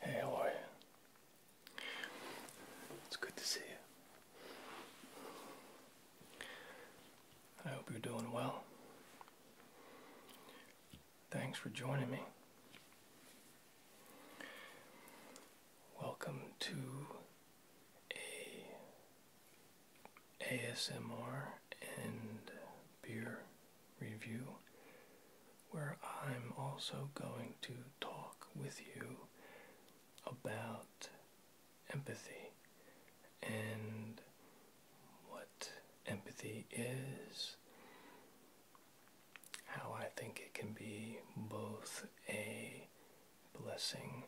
Hey, how are you? It's good to see you. I hope you're doing well. Thanks for joining me. Welcome to a ASMR and beer review where I'm also going to talk with you about empathy and what empathy is, how I think it can be both a blessing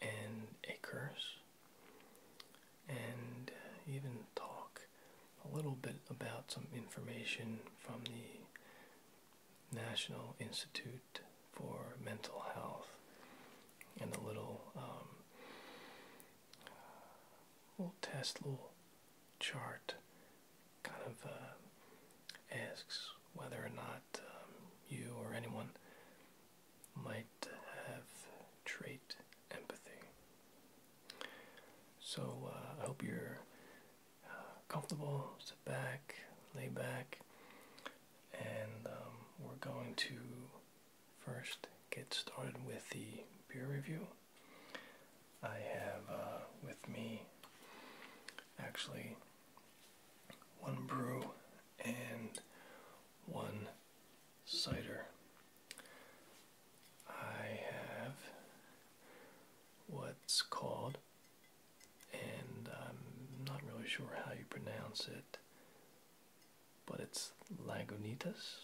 and a curse, and even talk a little bit about some information from the National Institute for Mental Health and a little um, little test, little chart kind of uh, asks whether or not um, you or anyone might have trait empathy. So uh, I hope you're uh, comfortable, sit back, lay back, and um, we're going to first get started with the beer review, I have uh, with me actually one brew and one cider. I have what's called, and I'm not really sure how you pronounce it, but it's Lagunitas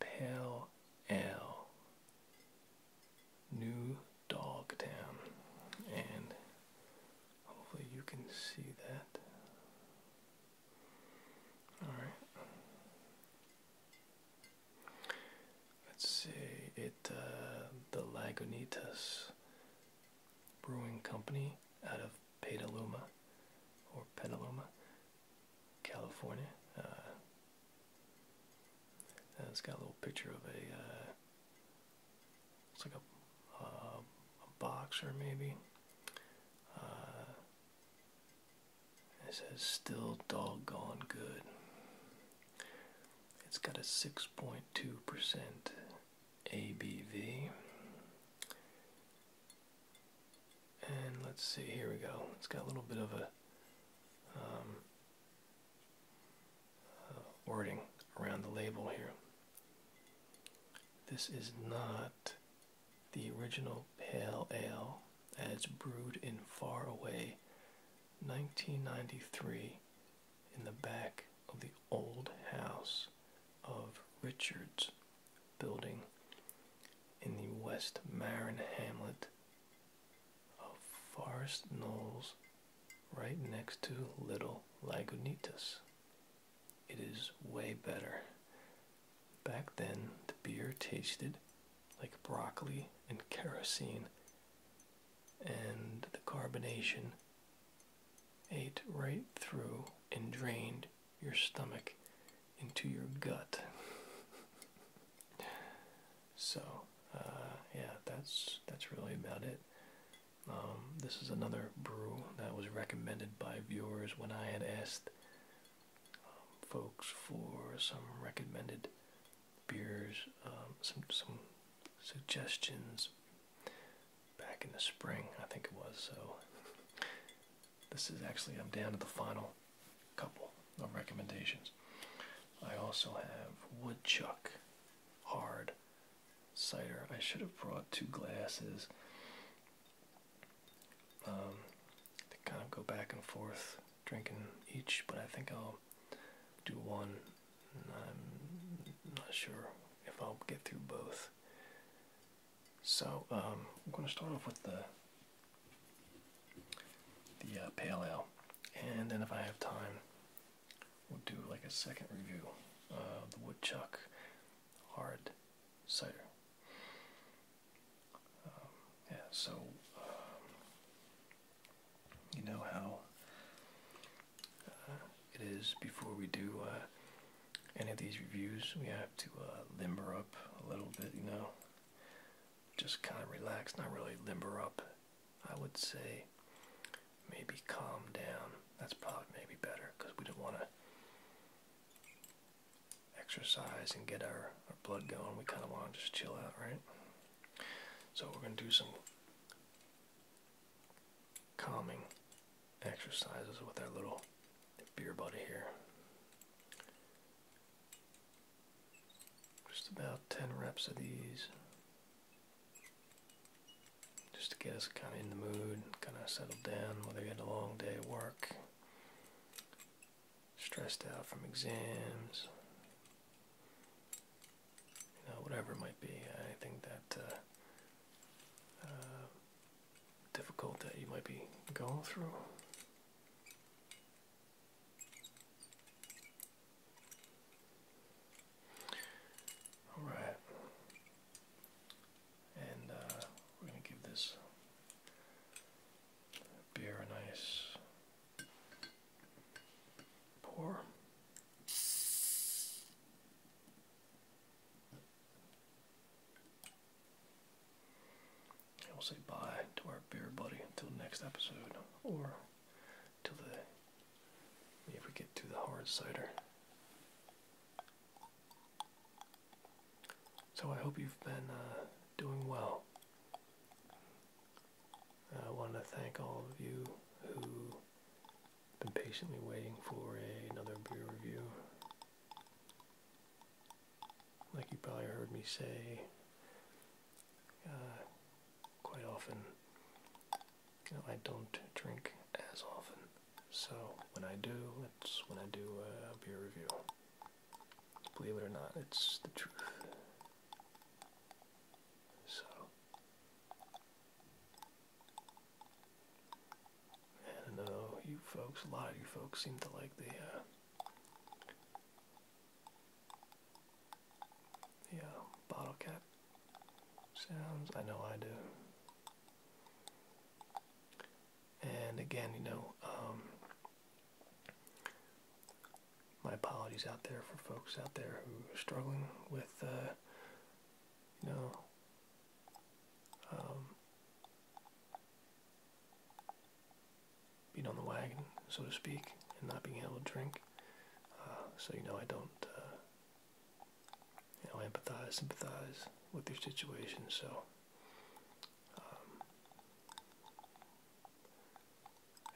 Pale Ale New dog town, And hopefully you can see that. Alright. Let's see it uh, the Lagunitas Brewing Company out of Petaluma or Petaluma, California. Uh, uh, it's got a little picture of a, uh, it's like uh, a, boxer maybe. Uh, it says still doggone good. It's got a 6.2% ABV. And let's see, here we go. It's got a little bit of a um, uh, wording around the label here. This is not the original pale ale as brewed in far away 1993 in the back of the old house of Richards building in the West Marin hamlet of Forest Knolls, right next to Little Lagunitas. It is way better. Back then, the beer tasted like broccoli and kerosene, and the carbonation ate right through and drained your stomach into your gut. so, uh, yeah, that's that's really about it. Um, this is another brew that was recommended by viewers when I had asked um, folks for some recommended beers, um, some some suggestions back in the spring, I think it was. So this is actually, I'm down to the final couple of recommendations. I also have woodchuck, hard cider. I should have brought two glasses. Um, to kind of go back and forth drinking each, but I think I'll do one. I'm not sure if I'll get through both. So um, I'm going to start off with the the uh, pale ale, and then if I have time, we'll do like a second review of the woodchuck hard cider. Um, yeah, so um, you know how uh, it is before we do uh, any of these reviews, we have to uh, limber up a little bit, you know, just kind of relax, not really limber up. I would say maybe calm down. That's probably maybe better because we don't want to exercise and get our blood going. We kind of want to just chill out, right? So we're going to do some calming exercises with our little beer buddy here. Just about 10 reps of these. Just to get us kind of in the mood, kind of settled down, whether you had a long day of work, stressed out from exams, you know, whatever it might be. I think that uh, uh, difficult that you might be going through. All right, and uh, we're going to give this beer a nice pour we'll say bye to our beer buddy until next episode, or till the if we get to the hard cider. So I hope you've been uh, doing well. I want to thank all of you who've been patiently waiting for another beer review like you probably heard me say uh, quite often, I don't drink as often. So when I do, it's when I do a beer review. Believe it or not, it's the truth. So I don't know, you folks, a lot of you folks seem to like the, uh, bottle cap sounds. I know I do. And again, you know, um, my apologies out there for folks out there who are struggling with, uh, you know, um, being on the wagon, so to speak, and not being able to drink. Uh, so, you know, I don't, uh, you know, empathize, sympathize with your situation. So, um,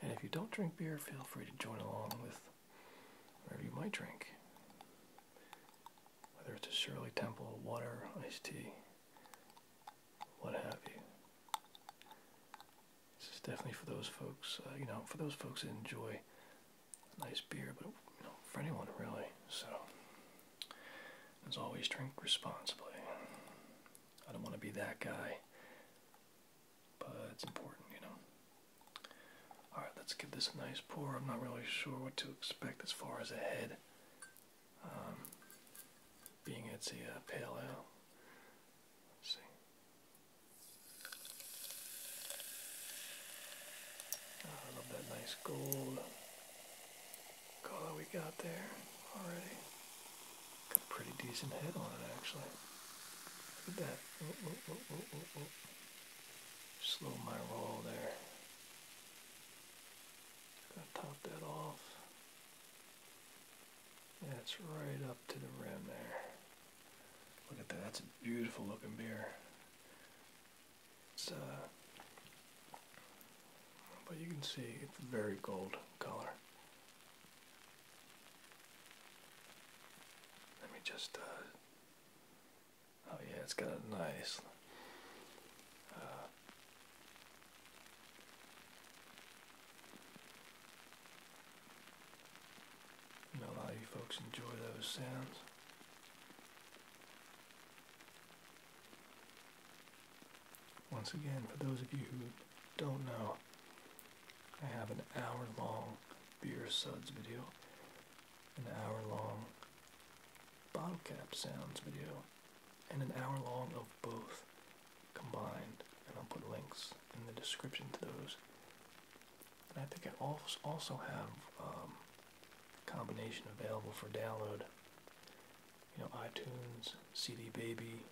and if you don't drink beer, feel free to join along with whatever you might drink. Whether it's a Shirley Temple, water, iced tea, what have you. This is definitely for those folks, uh, you know, for those folks that enjoy nice beer, but for anyone really. So, as always, drink responsibly. I don't want to be that guy, but it's important, you know. Alright, let's give this a nice pour. I'm not really sure what to expect as far as a head. Um, being at the paleo. see. Ah, I love that nice gold color we got there already. Got a pretty decent head on it actually. Look at that. Oh, oh, oh, oh Slow my roll there. Gotta top that off. That's right up to the rim there. Look at that, that's a beautiful looking beer. It's, uh, but you can see it's a very gold color. Let me just, uh, oh yeah, it's got a nice, uh, and a lot of you folks enjoy those sounds. Once again, for those of you who don't know, I have an hour long beer suds video, an hour long bottle cap sounds video, and an hour long of both combined. And I'll put links in the description to those. And I think I also have um, a combination available for download. You know, iTunes, CD Baby,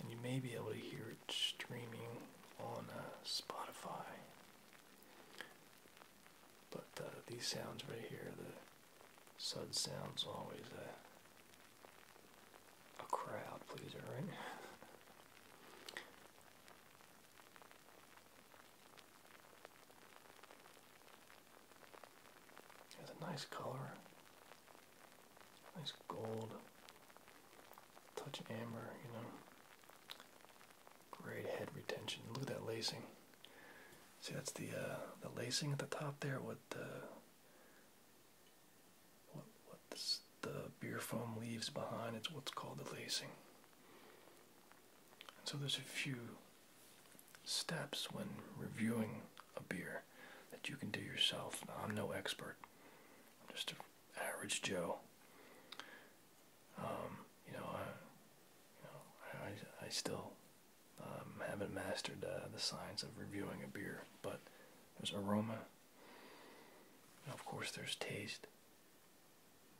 and you may be able to hear it streaming on uh, Spotify. But uh, these sounds right here, the Sud sounds always a, a crowd pleaser, right? Has a nice color, nice gold, touch amber, you know. Great head retention. Look at that lacing. See, that's the uh, the lacing at the top there with the what the beer foam leaves behind. It's what's called the lacing. so there's a few steps when reviewing a beer that you can do yourself. I'm no expert. just an average Joe. Um, you know, I, I still um, haven't mastered uh, the science of reviewing a beer, but there's aroma. Of course, there's taste.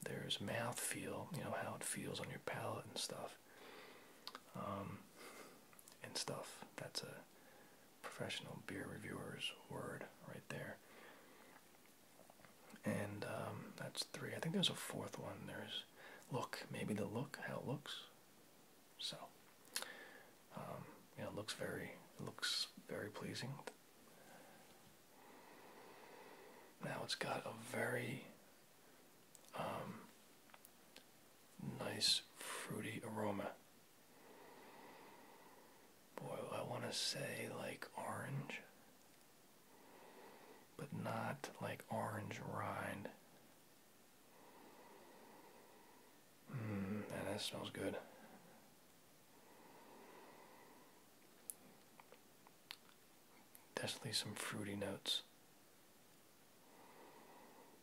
There's mouth feel. you know, how it feels on your palate and stuff. Um, and stuff. That's a professional beer reviewer's word right there. And um, that's three. I think there's a fourth one. There's look, maybe the look, how it looks. So um, it looks very looks very pleasing. Now it's got a very um, nice fruity aroma. Boy, I want to say like orange, but not like orange rind. Mm, that smells good. Definitely some fruity notes.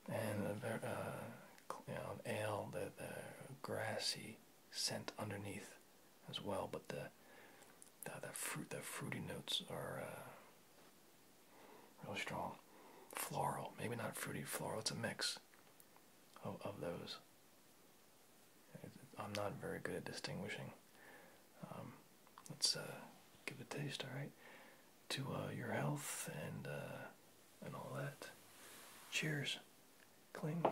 And a, uh, you know, an ale, the, grassy scent underneath as well, but the, the, fruit, the fruity notes are uh, Real strong. Floral, maybe not fruity floral, it's a mix of, of those. I'm not very good at distinguishing. Um, let's uh, give it a taste, alright? To uh, your health and, uh, and all that. Cheers. Cling.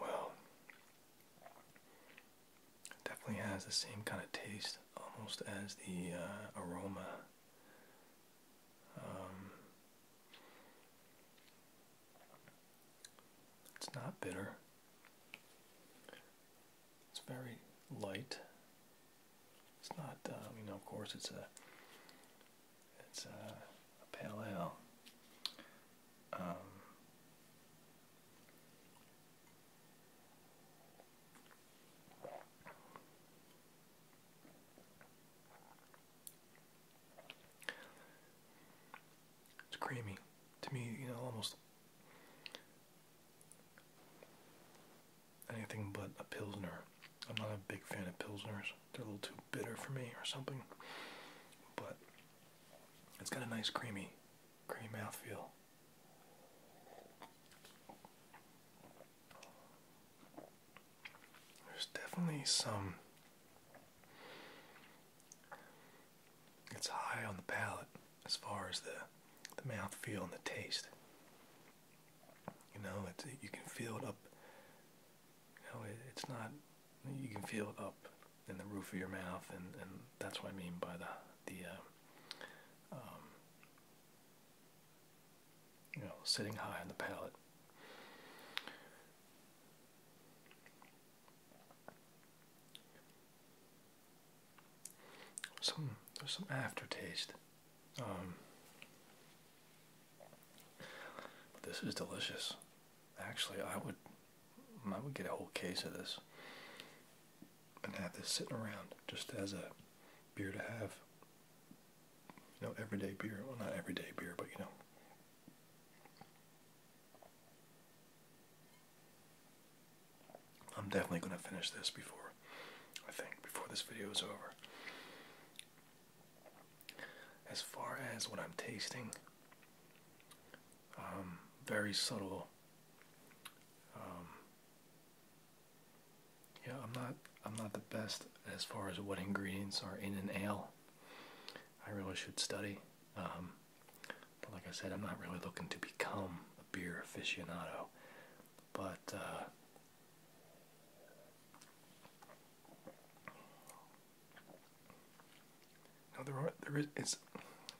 Well, definitely has the same kind of taste almost as the uh, aroma. Um, it's not bitter. It's very light. It's not, um, you know, of course, it's a it's a, pale ale. Um, it's creamy to me, you know, almost anything but a pilsner. I'm not a big fan of pilsners. They're a little too bitter for me or something. But it's got a nice creamy, creamy mouthfeel. There's definitely some it's high on the palate as far as the the mouth feel and the taste. You know, it's you can feel it up. You know, it's not. You can feel it up in the roof of your mouth, and and that's what I mean by the the. Uh, um, you know, sitting high on the palate. Some there's some aftertaste. but um, this is delicious. Actually, I would I would get a whole case of this and have this sitting around just as a beer to have. You know, everyday beer. Well, not everyday beer, but you know. I'm definitely going to finish this before, I think, before this video is over. As far as what I'm tasting, um, very subtle. Um, yeah, I'm not. I'm not the best as far as what ingredients are in an ale. I really should study. Um, but like I said, I'm not really looking to become a beer aficionado but uh, there are there is it's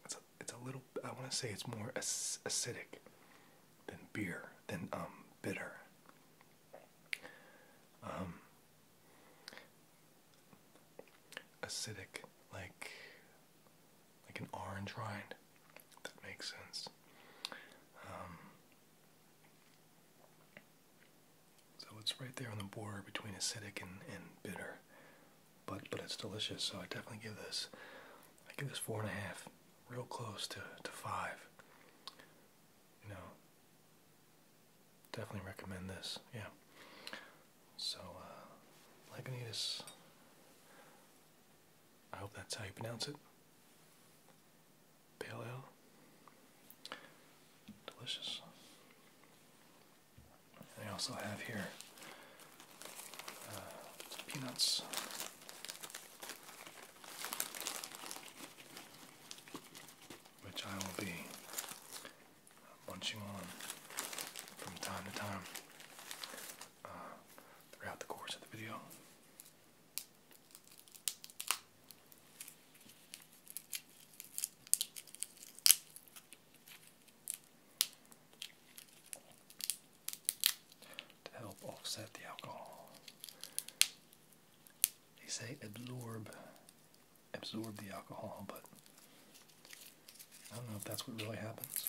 it's a, it's a little I want to say it's more acidic than beer than um bitter. Um, acidic like like an orange rind. that makes sense. Um, so it's right there on the border between acidic and, and bitter, but but it's delicious. So I definitely give this. I give this four and a half, real close to to five. You know, definitely recommend this. Yeah. So uh, Lagunitas I hope that's how you pronounce it. Pale ale. Delicious. I also have here uh, peanuts. Which I will be munching on from time to time. Uh, throughout the course of the video. To help offset the alcohol, they say absorb, absorb the alcohol, but I don't know if that's what really happens.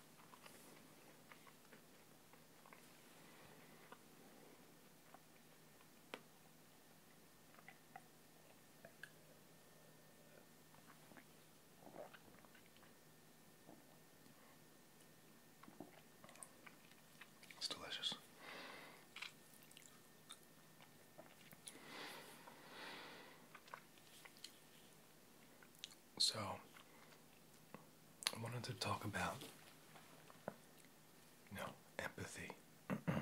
It's delicious. So, I wanted to talk about, you empathy. but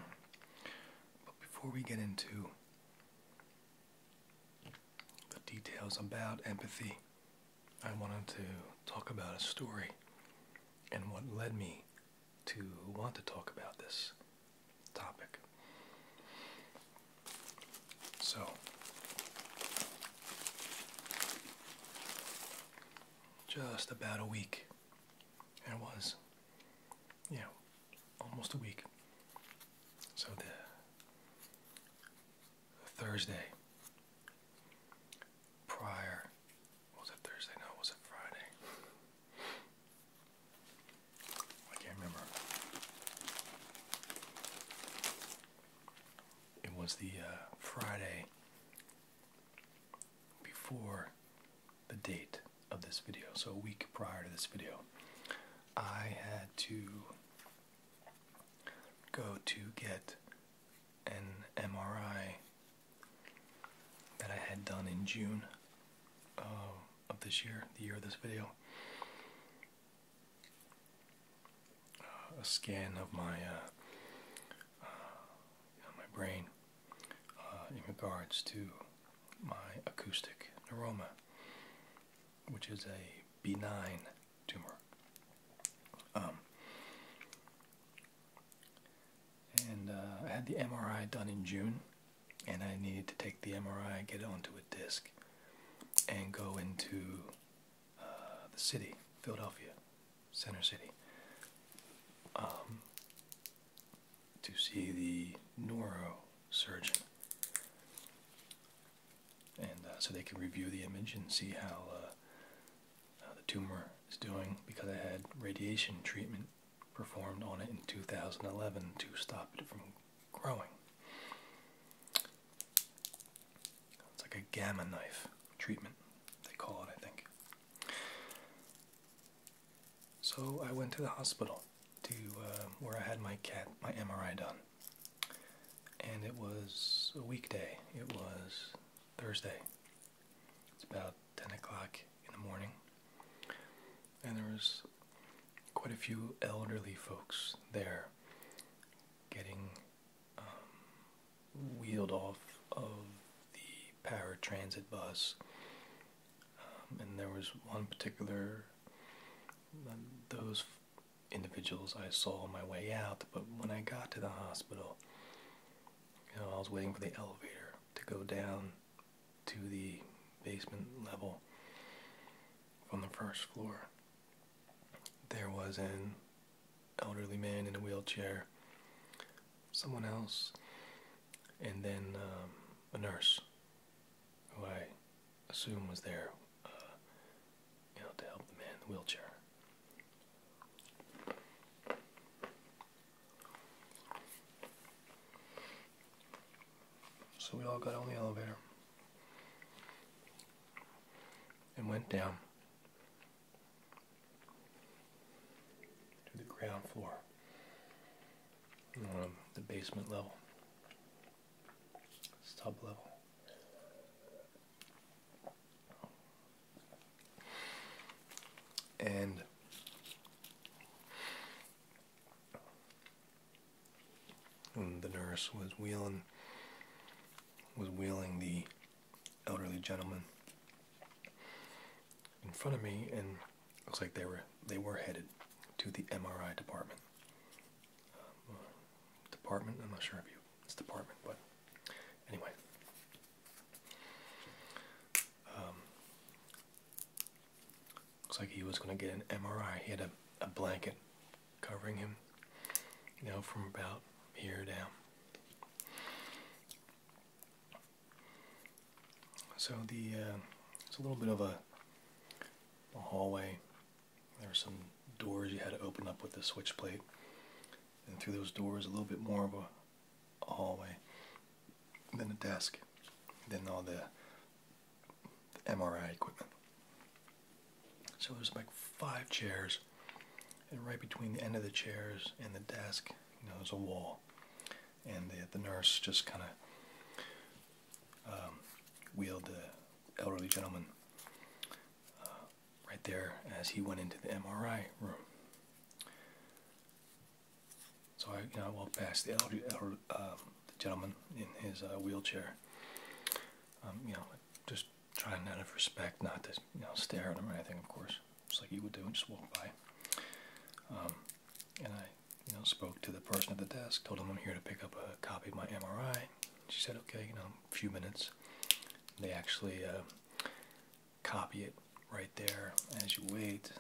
before we get into the details about empathy, I wanted to talk about a story and what led me to want to talk about this topic. So, just about a week. It was, yeah, almost a week. So the, Thursday prior, was it Thursday? No, was it Friday? I can't remember. It was the uh, Friday before the date of this video, so a week prior to this video, I had to go to get an MRI that I had done in June uh, of this year, the year of this video a scan of my uh, uh, my brain uh, in regards to my acoustic neuroma, which is a benign tumor. Um, and I had the MRI done in June, and I needed to take the MRI get onto a disc and go into uh, the city, Philadelphia, Center City, um, to see the neurosurgeon. And uh, so they can review the image and see uh, how the tumor is doing because I had radiation treatment performed on it in 2011 to stop it from growing. It's like a gamma knife treatment, they call it, I think. So I went to the hospital to um, where I had my cat, my MRI done. And it was a weekday. It was Thursday. It's about 10 o'clock in the morning. And there was quite a few elderly folks there getting um, wheeled off of the paratransit bus. Um, and there was one particular, um, those individuals I saw on my way out, but when I got to the hospital, you I was waiting for the elevator to go down to the basement level from the first floor. There was an elderly man in a wheelchair, someone else, and then um, a nurse who I assume was there, uh, you know, to help the man in the wheelchair. So we all got on the elevator and went down to the ground floor, the basement level, sub level. And the nurse was wheeling was wheeling the elderly gentleman in front of me and looks like they were they were headed to the MRI department. Um, department? I'm not sure if you it's department, but anyway. Um, looks like he was going to get an MRI. He had a blanket covering him, now from about here down. So the uh, it's a little bit of a, hallway. There were some doors you had to open up with the switch plate, and through those doors, a little bit more of a, hallway, then a desk, then all the MRI equipment. So there's like five chairs, and right between the end of the chairs and the desk, you know, there's a wall, and the, the nurse just kind of um, wheeled the elderly gentleman uh, right there as he went into the MRI room. So I, you know, walked past the elderly, um, gentleman in his uh, wheelchair. Um, you know, just trying out of respect not to you know stare at them or anything, of course, just like you would do, and just walk by. Um, and I you know spoke to the person at the desk, told him I'm here to pick up a copy of my MRI. She said, okay, you know, a few minutes. They actually uh, copy it right there as you wait.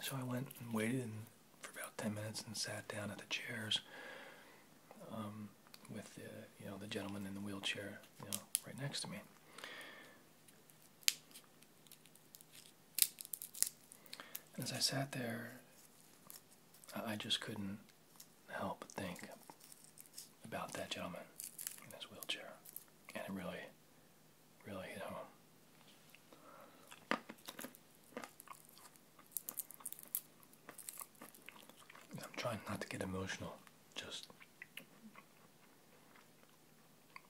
So I went and waited, and for about 10 minutes and sat down at the chairs um, with the, you know, the gentleman in the wheelchair, you know, right next to me. as I sat there, I just couldn't help but think about that gentleman in his wheelchair. And it really, really hit home. I'm trying not to get emotional, just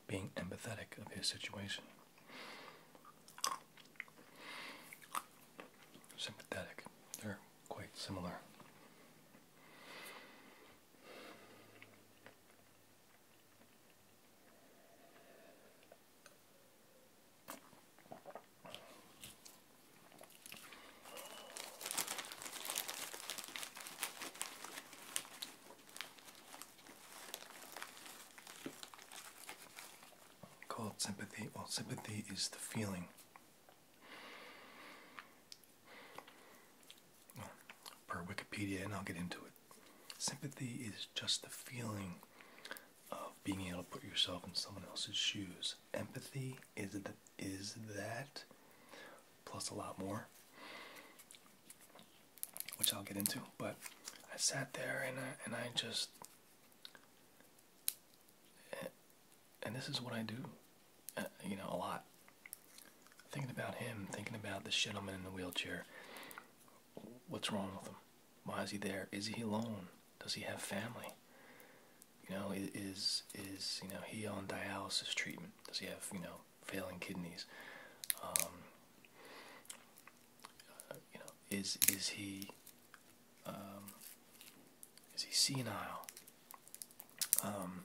being empathetic of his situation. Sympathetic. They're quite similar. Called sympathy. Well, sympathy is the feeling. per Wikipedia, and I'll get into it. Sympathy is just the feeling of being able to put yourself in someone else's shoes. Empathy is that, is that plus a lot more, which I'll get into. But I sat there and I, and I just and this is what I do, uh, you know, a lot. Thinking about him, thinking about the gentleman in the wheelchair. What's wrong with him? Why is he there? Is he alone? Does he have family? You know, is is you know he on dialysis treatment? Does he have you know failing kidneys? Um, uh, you know, is is he um, is he senile? Um,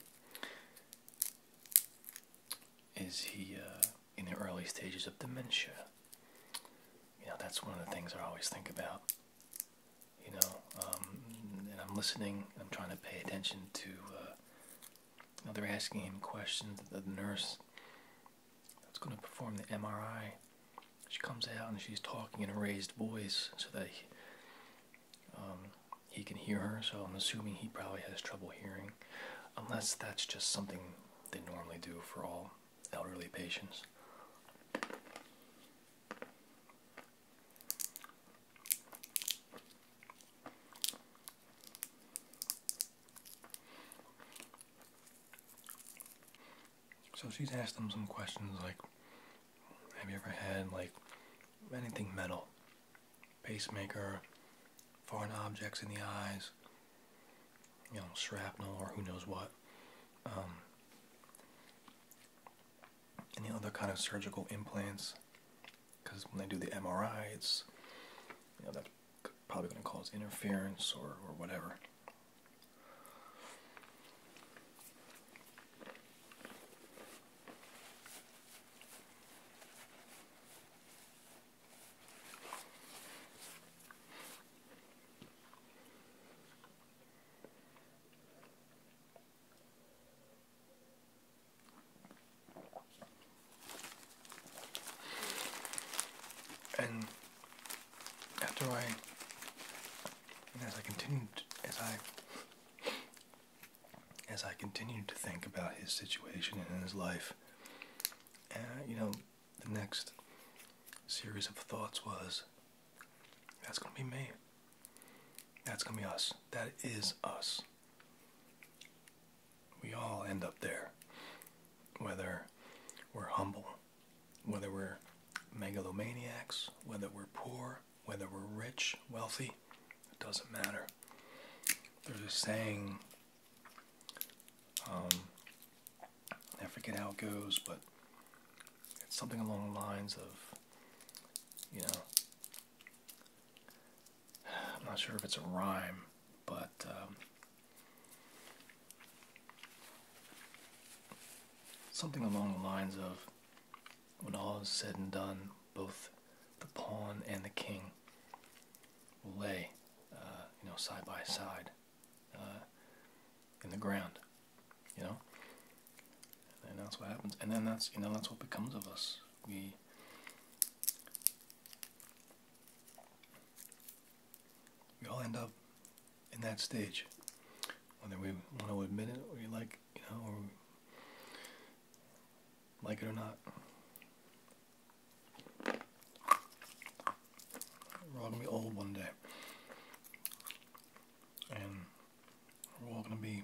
is he uh, in the early stages of dementia? You know, that's one of the things I always think about you know, um, and I'm listening. I'm trying to pay attention to. Uh, they're asking him questions. The nurse that's going to perform the MRI, she comes out and she's talking in a raised voice so that um, he can hear her. So I'm assuming he probably has trouble hearing, unless that's just something they normally do for all elderly patients. So she's asked him some questions like, have you ever had like anything metal? Pacemaker, foreign objects in the eyes, you know, shrapnel or who knows what. Um, any other kind of surgical implants because when they do the MRI, it's you know that's probably going to cause interference or, or whatever. And after I, as I continued, as I, as I continued to think about his situation and his life, uh, you know, the next series of thoughts was that's gonna be me. That's gonna be us. That is us. We all end up there. Whether we're humble, whether we're megalomaniacs, whether we're poor, whether we're rich, wealthy, it doesn't matter. There's a saying, um, I forget how it goes, but it's something along the lines of, you know, I'm not sure if it's a rhyme, but um, something along the lines of, when all is said and done, both the pawn and the king will lay, uh, you know, side by side. Uh, in the ground, you know. And that's what happens. And then that's you know that's what becomes of us. We we all end up in that stage, whether we want to admit it or you like you know or like it or not. We're all gonna be old one day and we're all going to be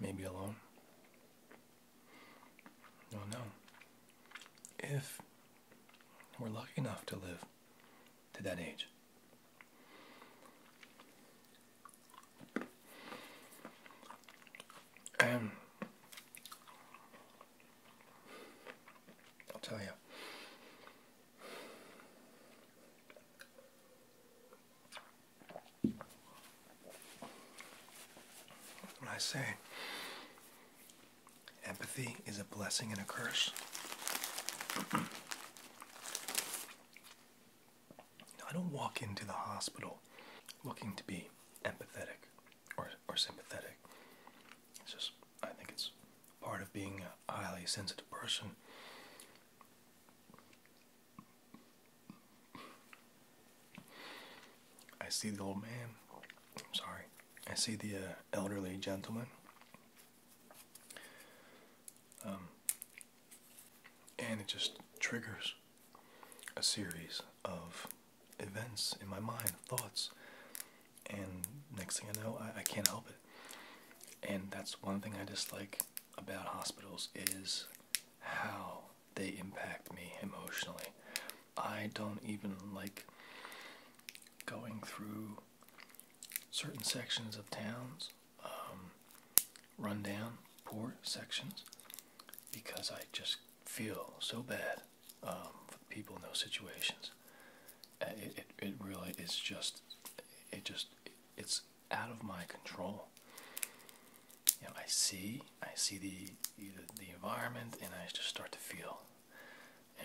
maybe alone. No, no. If we're lucky enough to live to that age. And I'll tell you. When I say empathy is a blessing and a curse, I don't walk into the hospital looking to be empathetic or, or sympathetic. It's just I think it's part of being a highly sensitive person. I see the old man. I'm sorry. I see the uh, elderly gentleman. Um, and it just triggers a series of events in my mind, thoughts and next thing I know, I, can't help it. And that's one thing I dislike about hospitals is how they impact me emotionally. I don't even like going through certain sections of towns, um, rundown, poor sections, because I just feel so bad um, for people in those situations. Uh, it, it, really is just, it just, it's out of my control. You know, I see, I see the, the, environment and I just start to feel.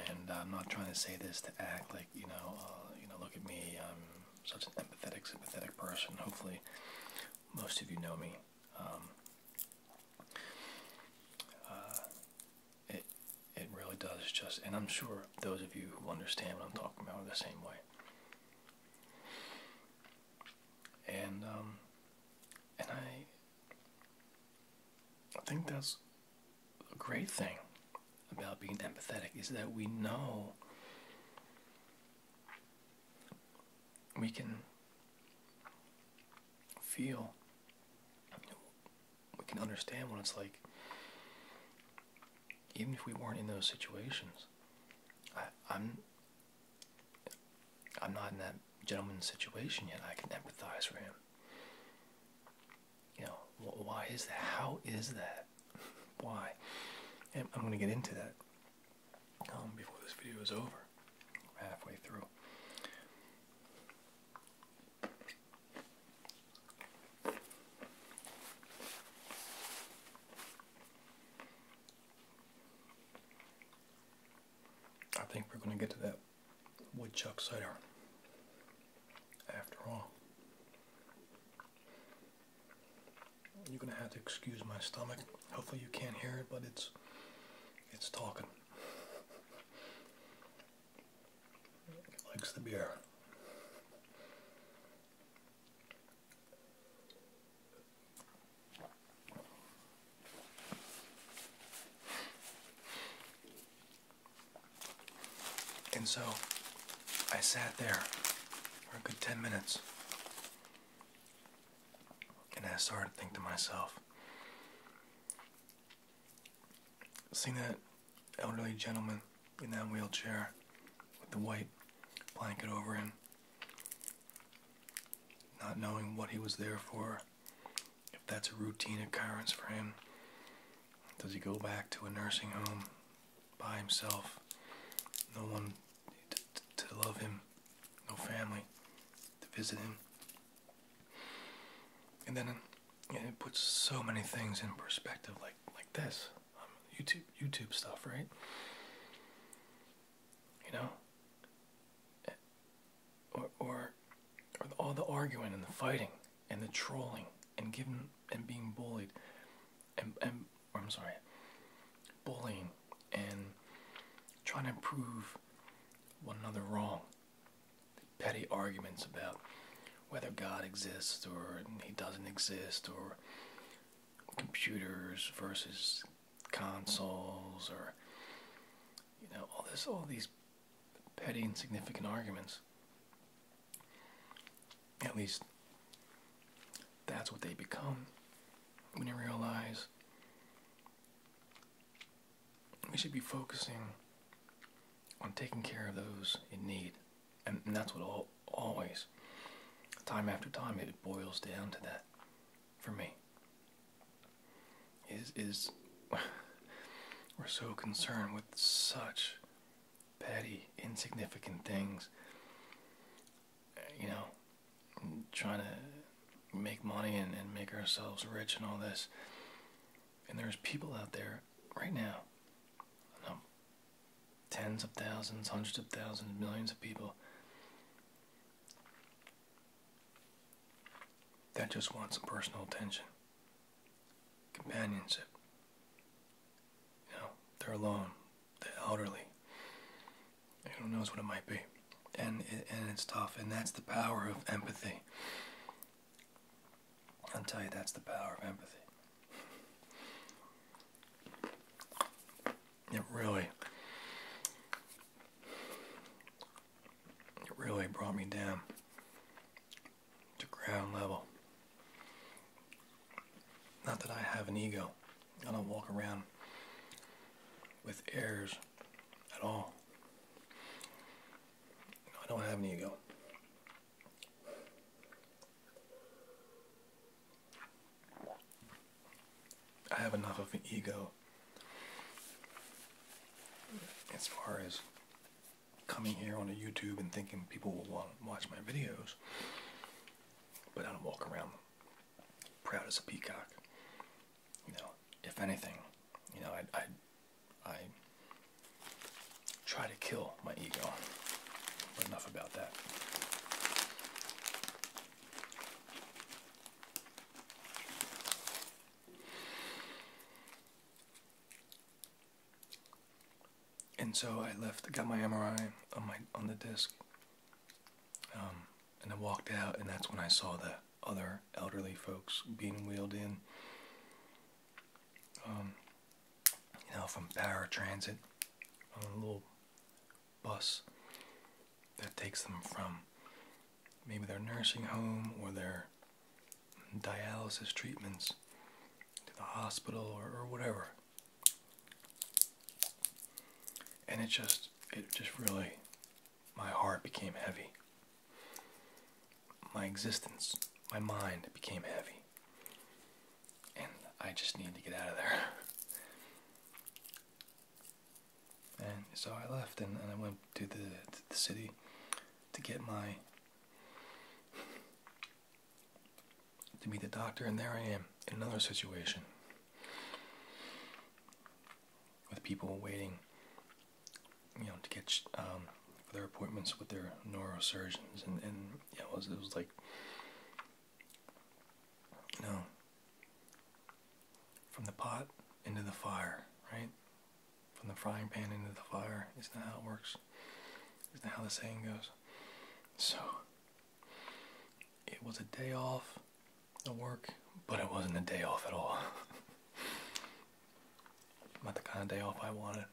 And I'm not trying to say this to act like, you know, uh, you know, look at me, I'm such an empathetic, sympathetic person. Hopefully most of you know me. Um, uh, it, it really does just, and I'm sure those of you who understand what I'm talking about are the same way. And um, and I, I think that's a great thing about being empathetic is that we know we can feel we can understand what it's like even if we weren't in those situations I, am i'm not in that gentleman's situation yet i can empathize for him you know why is that how is that why and i'm going to get into that um, before this video is over halfway through I think we're going to get to that woodchuck cider after all. You're going to have to excuse my stomach. Hopefully you can't hear it, but it's it's talking likes the beer. And so I sat there for a good 10 minutes. And I started to think to myself, seeing that elderly gentleman in that wheelchair with the white blanket over him, not knowing what he was there for, if that's a routine occurrence for him. Does he go back to a nursing home by himself? No one to love him, no family to visit him. And then it puts so many things in perspective, like like this, um, YouTube YouTube stuff, right? You know, eh, or, or all the arguing and the fighting and the trolling and giving and being bullied and and I'm sorry, bullying and trying to prove one another wrong petty arguments about whether God exists or he doesn't exist or computers versus consoles or you know all this all these petty insignificant arguments at least that's what they become when you realize we should be focusing on taking care of those in need. And, that's what always, time after time, it boils down to that for me. Is, is we're so concerned with such petty, insignificant things. You know, trying to make money and make ourselves rich and all this. And there's people out there right now, tens of thousands, hundreds of thousands, millions of people that just want some personal attention, companionship. You know, they're alone, they're elderly. Who knows what it might be? And and it's tough. And that's the power of empathy. I'll tell you, that's the power of empathy. It really, it really brought me down to ground level. Not that I have an ego. I don't walk around with airs at all. I don't have an ego. I have enough of an ego as far as coming here on YouTube and thinking people will want to watch my videos, but I don't walk around proud as a peacock. You know, if anything, you know, I, would I try to kill my ego. But enough about that. And so I left, got my MRI on my on the disc, um, and I walked out, and that's when I saw the other elderly folks being wheeled in. Um, you know, from paratransit on a little bus that takes them from maybe their nursing home or their dialysis treatments to the hospital or, or whatever. And it just, it just really, my heart became heavy my existence, my mind became heavy. And I just needed to get out of there. and so I left and, I went to the, city to get my. to meet the doctor, and there I am in another situation with people waiting, you know, to get um, for their appointments with their neurosurgeons, and and yeah, it was it was like, you from the pot into the fire, right? From the frying pan into the fire. Isn't how it works? Isn't how the saying goes? So it was a day off of work, but it wasn't a day off at all. Not the kind of day off I wanted.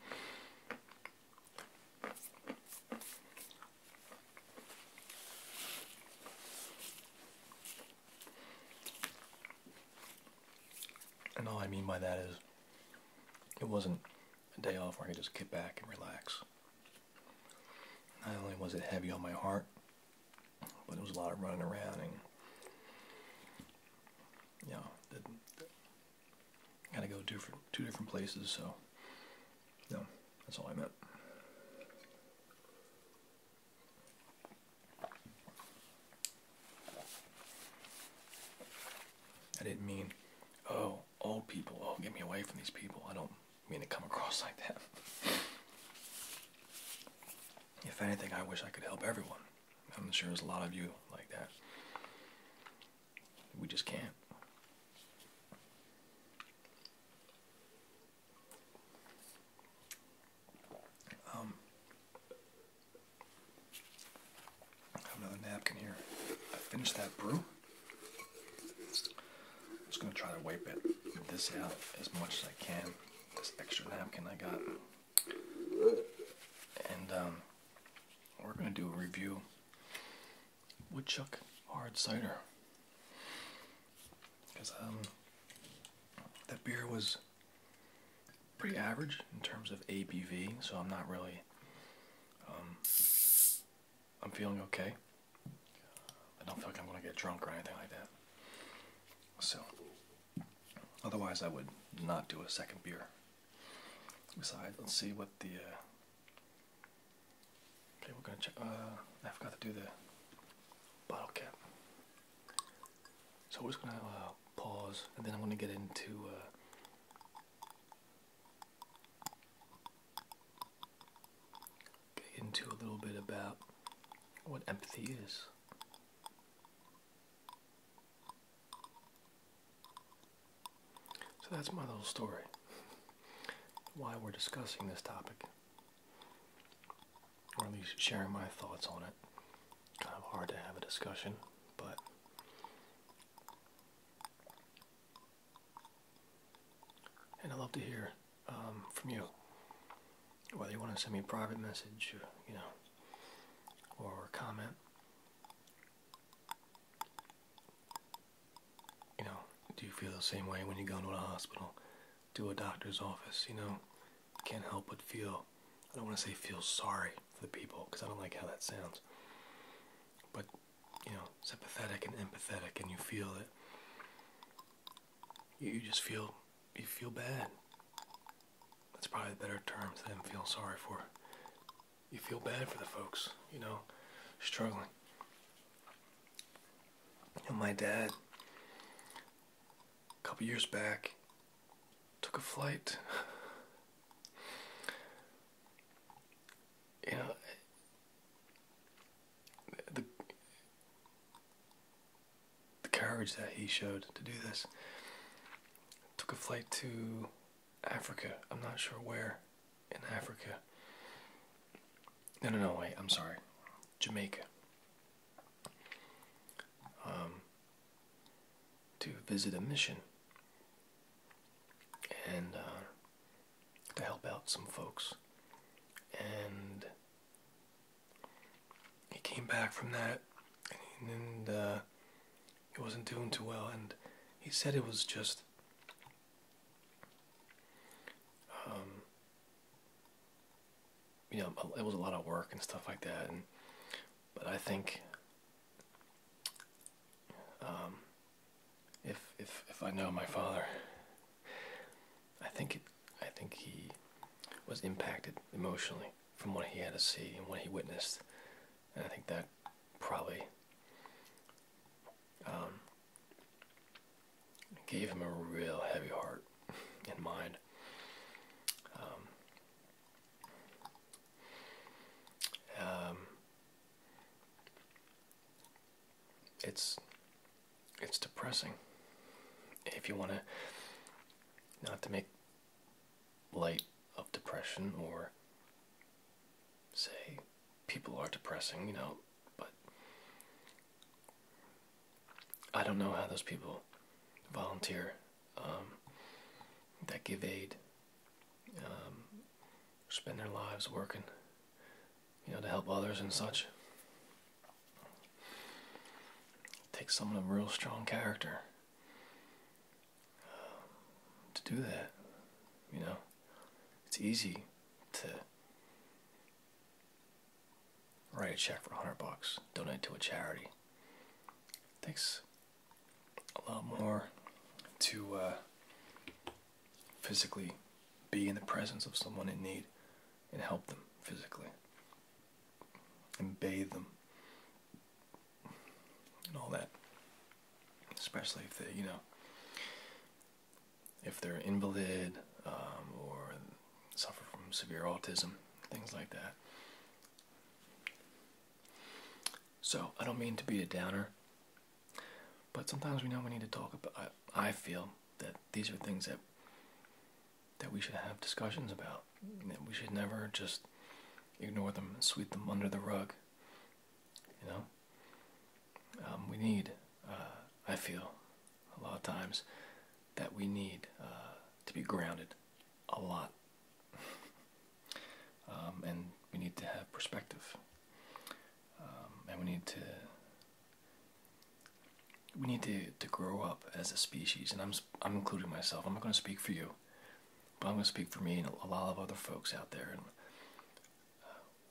And all I mean by that is it wasn't a day off where I could just get back and relax. Not only was it heavy on my heart, but it was a lot of running around and you know, the, Gotta go different two different places, so no, that's all I meant. I didn't mean, oh, old people, oh, get me away from these people. I don't mean to come across like that. if anything, I wish I could help everyone. I'm sure there's a lot of you like that. We just can't. Um, another napkin here. I finished that brew. I'm just gonna try to wipe it this out as much as I can. This extra napkin I got, and um, we're gonna do a review Woodchuck hard cider. Because um, that beer was pretty average in terms of ABV, so I'm not really. Um, I'm feeling okay. I don't feel like I'm gonna get drunk or anything like that. So, otherwise, I would not do a second beer. Besides, let's see what the. Uh, okay, we're gonna check. Uh, I forgot to do the bottle cap. So we're just gonna uh, pause, and then I'm gonna get into. Uh, get into a little bit about what empathy is. So that's my little story. Why we're discussing this topic, or at least sharing my thoughts on it. Kind of hard to have a discussion, but and I love to hear um, from you. Whether you want to send me a private message, you know, or comment, you know, do you feel the same way when you go into a hospital, to a doctor's office? You know, can't help but feel, I don't want to say feel sorry for the people because I don't like how that sounds, but you know, sympathetic and empathetic, and you feel it. you, just feel, you feel bad. That's probably the better terms than feel sorry for you feel bad for the folks, you know, struggling. And my dad, a couple years back, took a flight. you know, the, the courage that he showed to do this. Took a flight to Africa. I'm not sure where in Africa. No, no, no, wait, I'm sorry. Jamaica. Um, to visit a mission and uh, to help out some folks. And he came back from that and, and uh, he wasn't doing too well, and he said it was just um, you know it was a lot of work and stuff like that, and but I think um, if if if I know my father, I think I think he was impacted emotionally from what he had to see and what he witnessed I think that probably um, gave him a real heavy heart and mind. Um, um, it's it's depressing. If you want to, not to make light of depression or say people are depressing, you know, but I don't know how those people volunteer um, that give aid, um, spend their lives working, you know, to help others and such. It takes some of real strong character to do that. You know, it's easy to write a check for 100 bucks, donate to a charity. It takes a lot more to uh, physically be in the presence of someone in need and help them physically and bathe them and all that especially if they, you know, if they're invalid um, or suffer from severe autism, things like that. So I don't mean to be a downer, but sometimes we know we need to talk about. I, I feel that these are things that that we should have discussions about. That we should never just ignore them and sweep them under the rug. You know, um, we need, uh, I feel, a lot of times, that we need uh, to be grounded a lot. Um, and we need to have perspective. Um, and we need to. We need to, to grow up as a species, and I'm, I'm including myself. I'm not going to speak for you, but I'm going to speak for me and a lot of other folks out there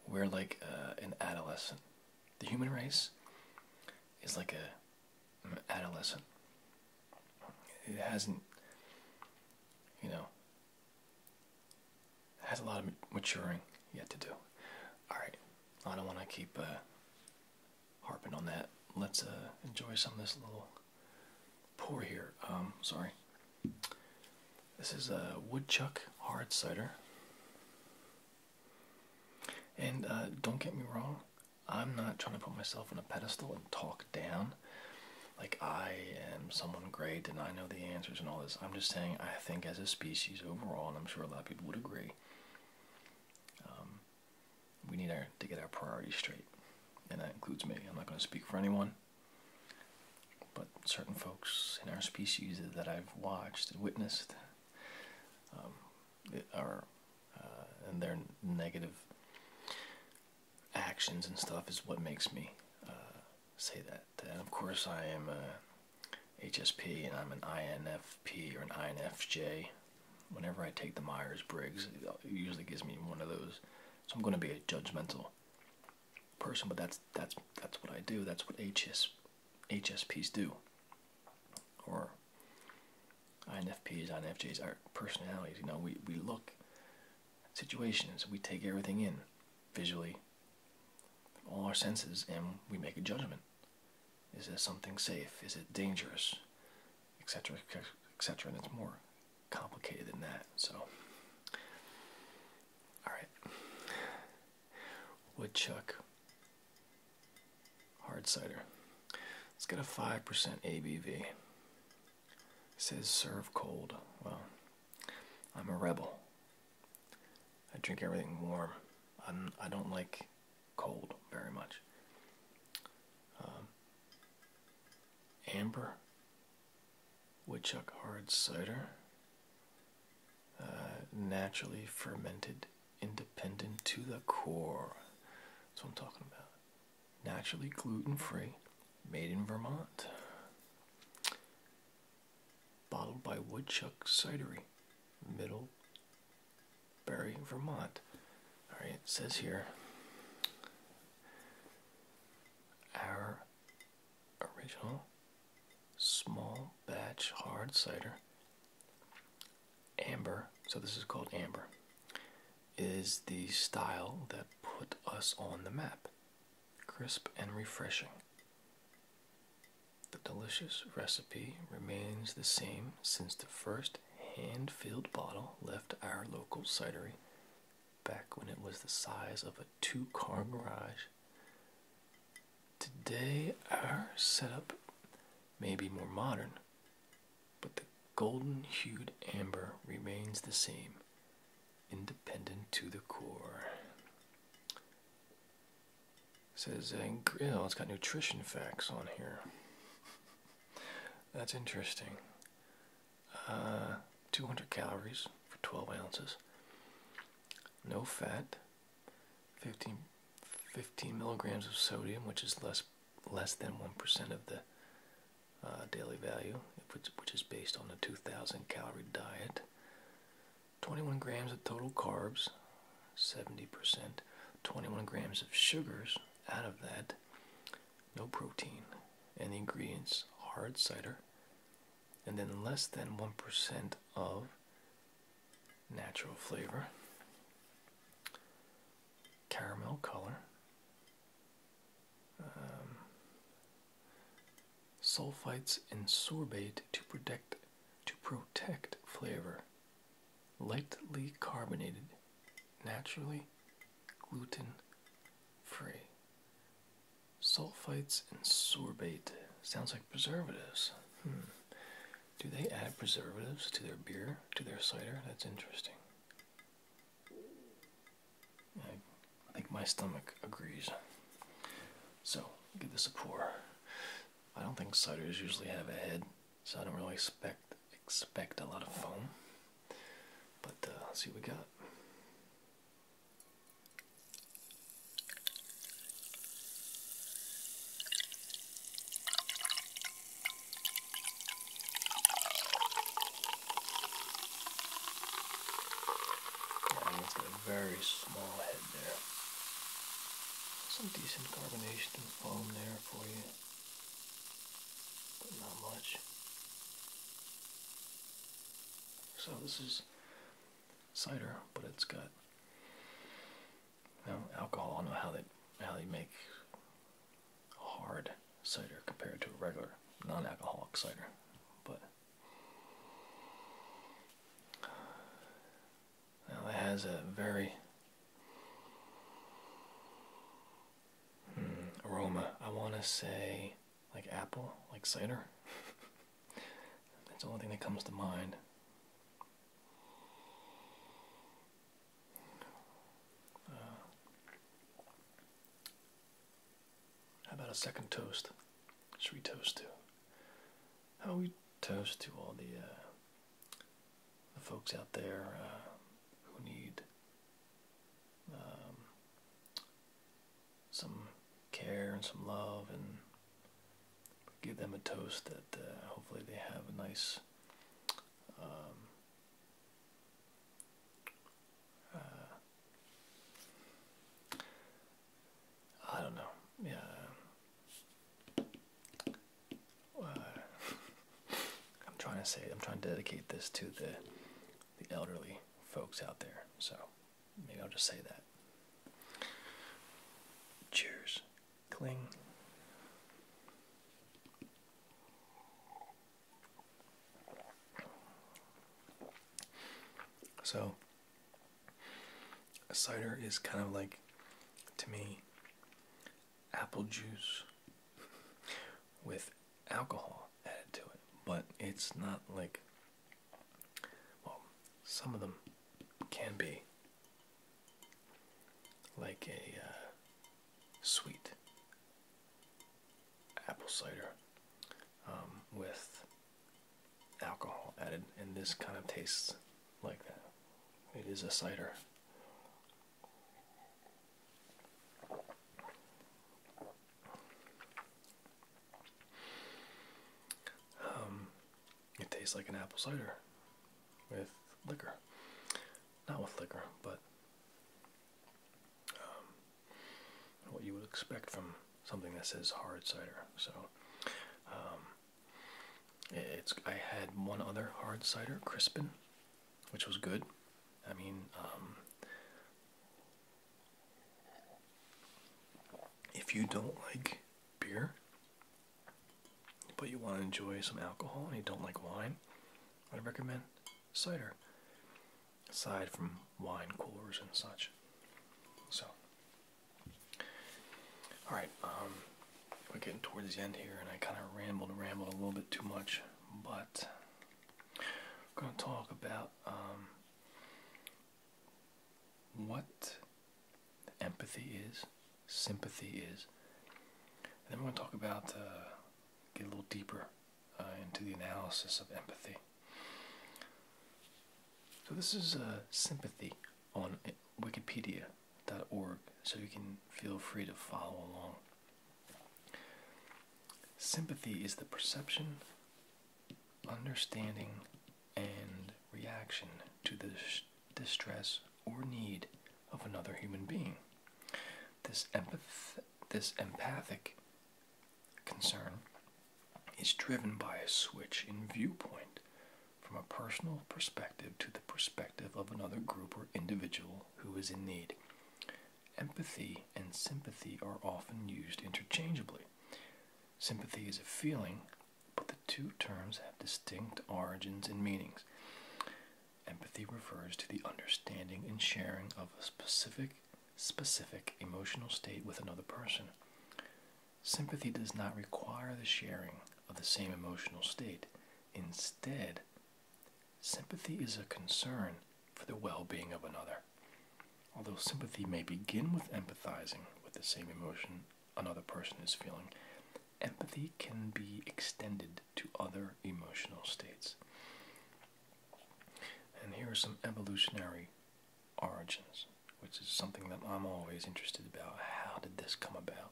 we're like uh, an adolescent. The human race is like a an adolescent. It hasn't, you know, has a lot of maturing yet to do. All right, I don't want to keep uh, harping on that. Let's uh, enjoy some of this little pour here. Um, sorry. This is a woodchuck hard cider. And uh, don't get me wrong, I'm not trying to put myself on a pedestal and talk down like I am someone great and I know the answers and all this. I'm just saying, I think as a species overall, and I'm sure a lot of people would agree, um, we need to get our priorities straight. And that includes me. I'm not going to speak for anyone. But certain folks in our species that I've watched and witnessed um, are, uh, and their negative actions and stuff is what makes me uh, say that. And of course, I am a HSP and I'm an INFP or an INFJ. Whenever I take the Myers Briggs, it usually gives me one of those. So I'm going to be a judgmental person, but that's that's that's what I do. That's what HS HSPs do, or INFPs, INFJs, are personalities. You know, we we look situations, we take everything in visually, all our senses, and we make a judgment. Is this something safe? Is it dangerous? Etc. Etc. And it's more complicated than that. So Alright. Woodchuck. Hard cider. It's got a 5% ABV. says serve cold. Well, I'm a rebel. I drink everything warm. I'm, I do not like cold very much. Um, amber woodchuck hard cider, uh, naturally fermented, independent to the core. That's what I'm talking about. Naturally gluten free, made in Vermont. Bottled by Woodchuck Cidery, Middlebury, Vermont. Alright, it says here our original small batch hard cider. Amber, so this is called amber, is the style that put us on the map. Crisp and refreshing. The delicious recipe remains the same since the first hand filled bottle left our local cidery back when it was the size of a two car garage Today, our setup may be more modern, but the golden hued amber remains the same, independent to the core. It says, oh, it's got nutrition facts on here. That's interesting. Uh, 200 calories for 12 ounces no fat, 15, 15 milligrams of sodium, which is less less than 1% of the uh, daily value, which, is based on a 2,000 calorie diet, 21 grams of total carbs, 70%, 21 grams of sugars out of that, no protein, and the ingredients hard cider, and then less than 1% of natural flavor, caramel color, um, sulfites and sorbate to protect to protect flavor, lightly carbonated, naturally gluten free. Sulfites and sorbate. Sounds like preservatives. Hmm. Do they add preservatives to their beer, to their cider? That's interesting. I think my stomach agrees. So, give this a pour. I don't think ciders usually have a head, so I don't really expect expect a lot of foam. But uh, let's see what we got very small head there. Some decent carbonation and foam there for you, but not much. So this is cider, but it's got you um, alcohol. I don't know how they how they make hard cider compared to a regular non-alcoholic cider, but now it has a very hmm, aroma. I want to say like apple, like cider. That's the only thing that comes to mind. Uh, how about a second toast? Should we toast to? How we toast to all the uh, the folks out there uh, who need um, some care and some love and give them a toast that uh, hopefully they have a nice um, uh, I don't know yeah uh, I'm trying to say I'm trying to dedicate this to the the elderly folks out there so Maybe I'll just say that. Cheers. Cling. So, cider is kind of like, to me, apple juice with alcohol added to it, but it's not like well, some of them can be like a uh, sweet apple cider um, with alcohol added, and this kind of tastes like that. It is a cider. Um, it tastes like an apple cider with liquor. Not with liquor, but um, what you would expect from something that says hard cider. So, um, it's I had one other hard cider, Crispin, which was good. I mean, if you don't like beer, but you want to enjoy some alcohol and you don't like wine, I recommend cider, aside from wine coolers and such. So, all right, um, we're getting towards the end here, and I kind of rambled rambled a little bit too much, but we're going to talk about um, what empathy is, sympathy is. And then we're going to talk about, uh, get a little deeper uh, into the analysis of empathy. So this is uh, sympathy on wikipedia.org, so you can feel free to follow along. Sympathy is the perception understanding and reaction to the distress or need of another human being. This, empath this empathic concern is driven by a switch in viewpoint from a personal perspective to the perspective of another group or individual who is in need. Empathy and sympathy are often used interchangeably. Sympathy is a feeling but the two terms have distinct origins and meanings. Empathy refers to the understanding and sharing of a specific specific emotional state with another person. Sympathy does not require the sharing of the same emotional state. Instead, sympathy is a concern for the well-being of another. Although sympathy may begin with empathizing with the same emotion another person is feeling, empathy can be extended to other emotional states. And here are some evolutionary origins, which is something that I'm always interested about. How did this come about?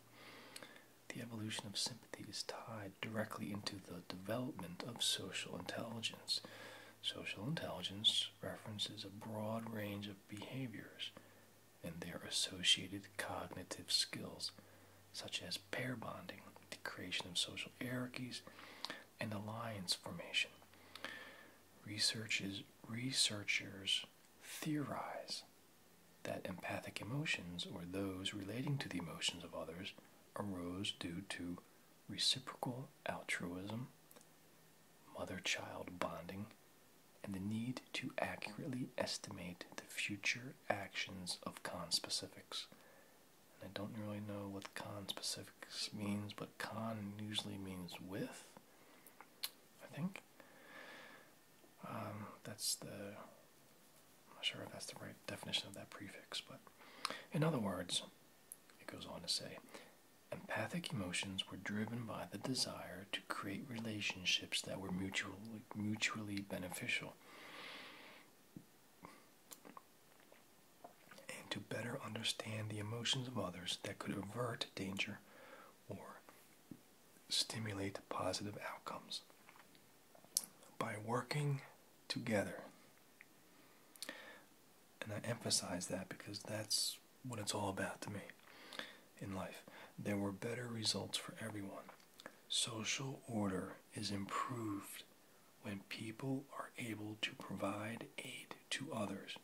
The evolution of sympathy is tied directly into the development of social intelligence. Social intelligence references a broad range of behaviors and their associated cognitive skills, such as pair bonding, the creation of social hierarchies, and alliance formation. Researchers, researchers theorize that empathic emotions, or those relating to the emotions of others, arose due to reciprocal altruism, mother child bonding, and the need to accurately estimate the future actions of con specifics, And I don't really know what con specifics means, but con usually means with, I think. Um, that's the, I'm not sure if that's the right definition of that prefix, but in other words, it goes on to say, Empathic emotions were driven by the desire to create relationships that were mutually, mutually beneficial and to better understand the emotions of others that could avert danger or stimulate positive outcomes. By working together, and I emphasize that because that's what it's all about to me in life. There were better results for everyone. Social order is improved when people are able to provide aid to others,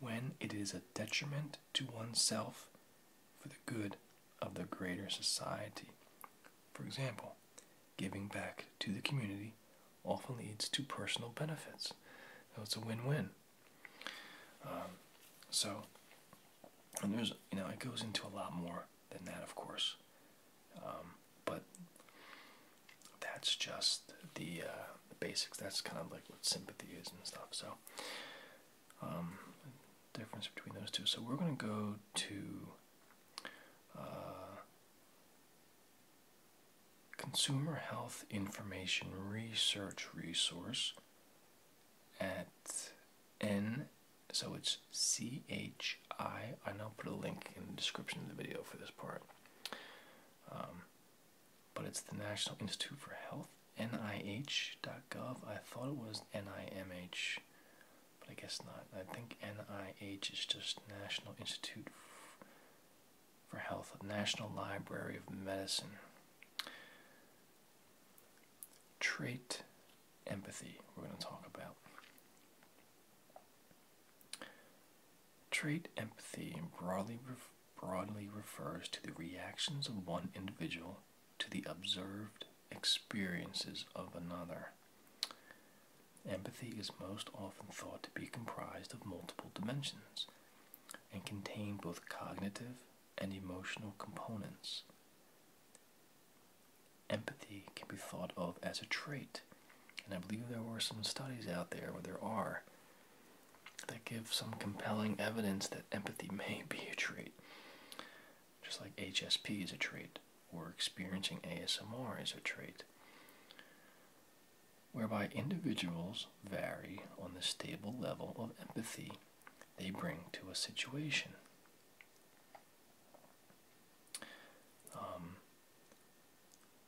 when it is a detriment to oneself for the good of the greater society. For example, giving back to the community often leads to personal benefits. So it's a win win. Um, so, and there's, you know, it goes into a lot more than that, of course. Um, but that's just uh, the, basics. That's kind of like what sympathy is and stuff. So, um, difference between those two. So we're going to go to uh, Consumer Health Information Research Resource at N, so it's C H I. I and I'll put a link in the description of the video for this part. Um, but it's the National Institute for Health, NIH.gov. I thought it was NIMH, but I guess not. I think NIH is just National Institute for Health, National Library of Medicine trait empathy we're going to talk about. Trait empathy broadly, broadly refers to the reactions of one individual to the observed experiences of another. Empathy is most often thought to be comprised of multiple dimensions and contain both cognitive and emotional components. Empathy can be thought of as a trait, and I believe there are some studies out there, where there are, that give some compelling evidence that empathy may be a trait. Just like HSP is a trait, or experiencing ASMR is a trait, whereby individuals vary on the stable level of empathy they bring to a situation. Um,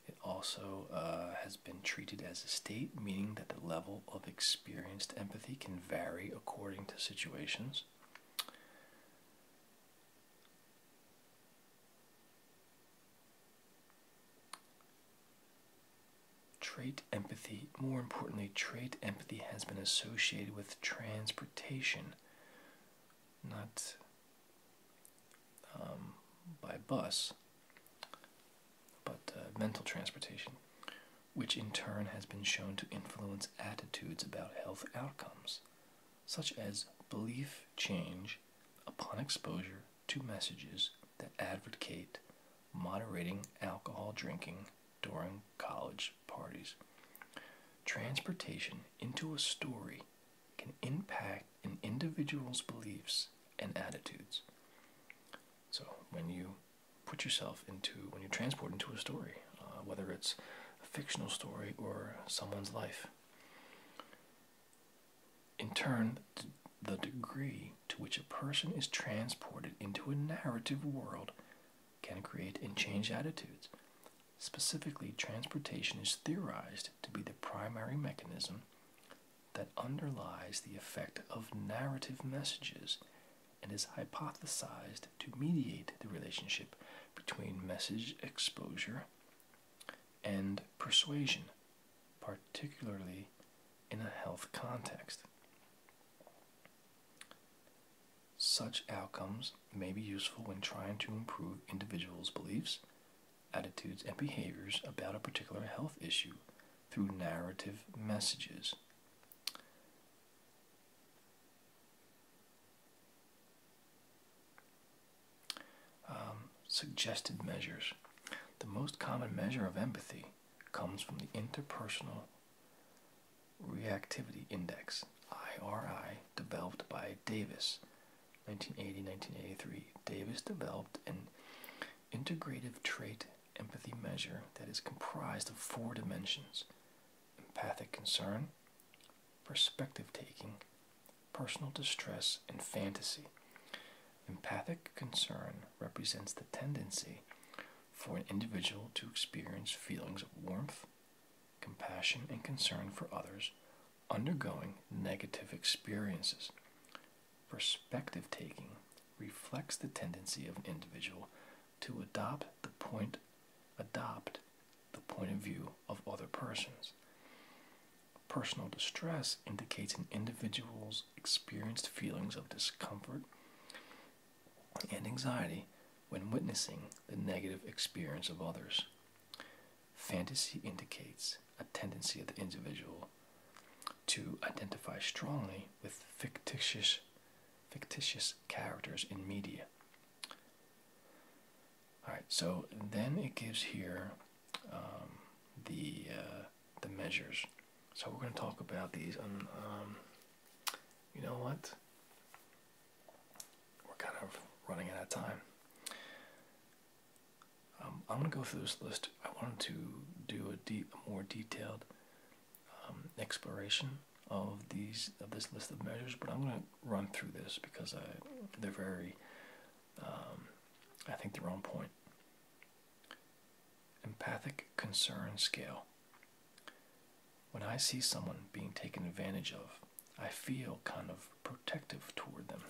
it also uh, has been treated as a state, meaning that the level of experienced empathy can vary according to situations. Trait empathy, more importantly, trait empathy has been associated with transportation, not um, by bus, but uh, mental transportation, which in turn has been shown to influence attitudes about health outcomes, such as belief change upon exposure to messages that advocate moderating alcohol drinking during college parties. Transportation into a story can impact an individual's beliefs and attitudes. So, when you put yourself into, when you transport into a story, uh, whether it's a fictional story or someone's life, in turn, the degree to which a person is transported into a narrative world can create and change attitudes. Specifically, transportation is theorized to be the primary mechanism that underlies the effect of narrative messages and is hypothesized to mediate the relationship between message exposure and persuasion, particularly in a health context. Such outcomes may be useful when trying to improve individuals' beliefs, attitudes, and behaviors about a particular health issue through narrative messages. Um, suggested measures. The most common measure of empathy comes from the interpersonal Reactivity Index, IRI, developed by Davis, 1980-1983. Davis developed an integrative trait empathy measure that is comprised of four dimensions, empathic concern, perspective taking, personal distress, and fantasy. Empathic concern represents the tendency for an individual to experience feelings of warmth, compassion, and concern for others undergoing negative experiences. Perspective taking reflects the tendency of an individual to adopt the point adopt the point of view of other persons. Personal distress indicates an individual's experienced feelings of discomfort, and anxiety when witnessing the negative experience of others. Fantasy indicates a tendency of the individual to identify strongly with fictitious, fictitious characters in media. All right, so then it gives here um, the uh, the measures. So we're going to talk about these. Um, you know what? We're kind of running out of time. Um, I'm going to go through this list. I wanted to do a, deep, more detailed um, exploration of these of this list of measures, but I'm going to run through this because they're very, um, I think they're on point empathic concern scale. When I see someone being taken advantage of, I feel kind of protective toward them.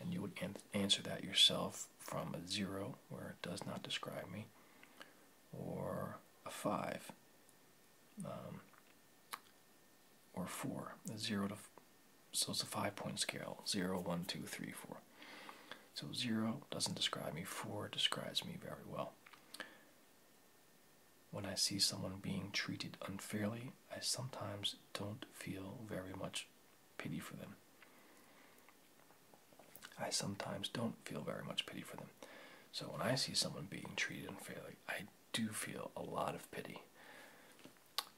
And you would answer that yourself from a zero, where it does not describe me, or a five, um, or four, a zero to so it's a five point scale zero, one, two, three, four. So 0 doesn't describe me, 4 describes me very well. When I see someone being treated unfairly, I sometimes don't feel very much pity for them. I sometimes don't feel very much pity for them. So when I see someone being treated unfairly, I do feel a lot of pity.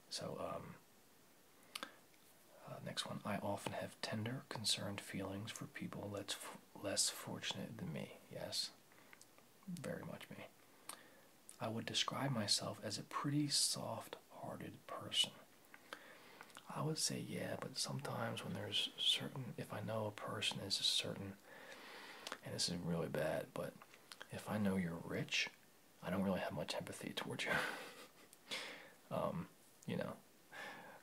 So, um, uh, next one. I often have tender, concerned feelings for people that's less fortunate than me. Yes, very much me. I would describe myself as a pretty soft hearted person. I would say, yeah, but sometimes when there's certain, if I know a person is a certain, and this is really bad, but if I know you're rich, I don't really have much empathy towards you. um, you know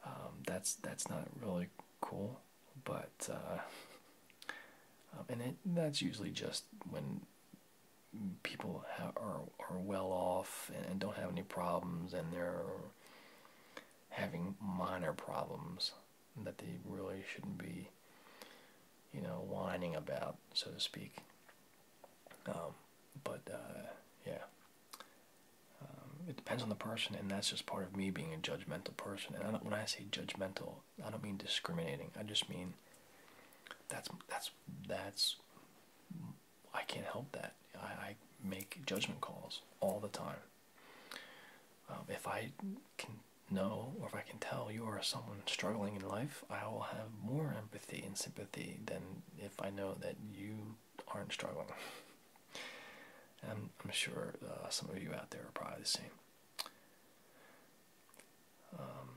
um, that's that's not really cool but uh, um, and that's usually just when people are are well off and, don't have any problems and they're having minor problems that they really shouldn't be you know whining about so to speak um, but uh, yeah um, it depends on the person, and that's just part of me being a judgmental person. And when I say judgmental, I don't mean discriminating. I just mean that's that's that's I can't help that. I, make judgment calls all the time. Um, if I can know or if I can tell you are someone struggling in life, I will have more empathy and sympathy than if I know that you aren't struggling. And I'm sure uh, some of you out there are probably the same. Um,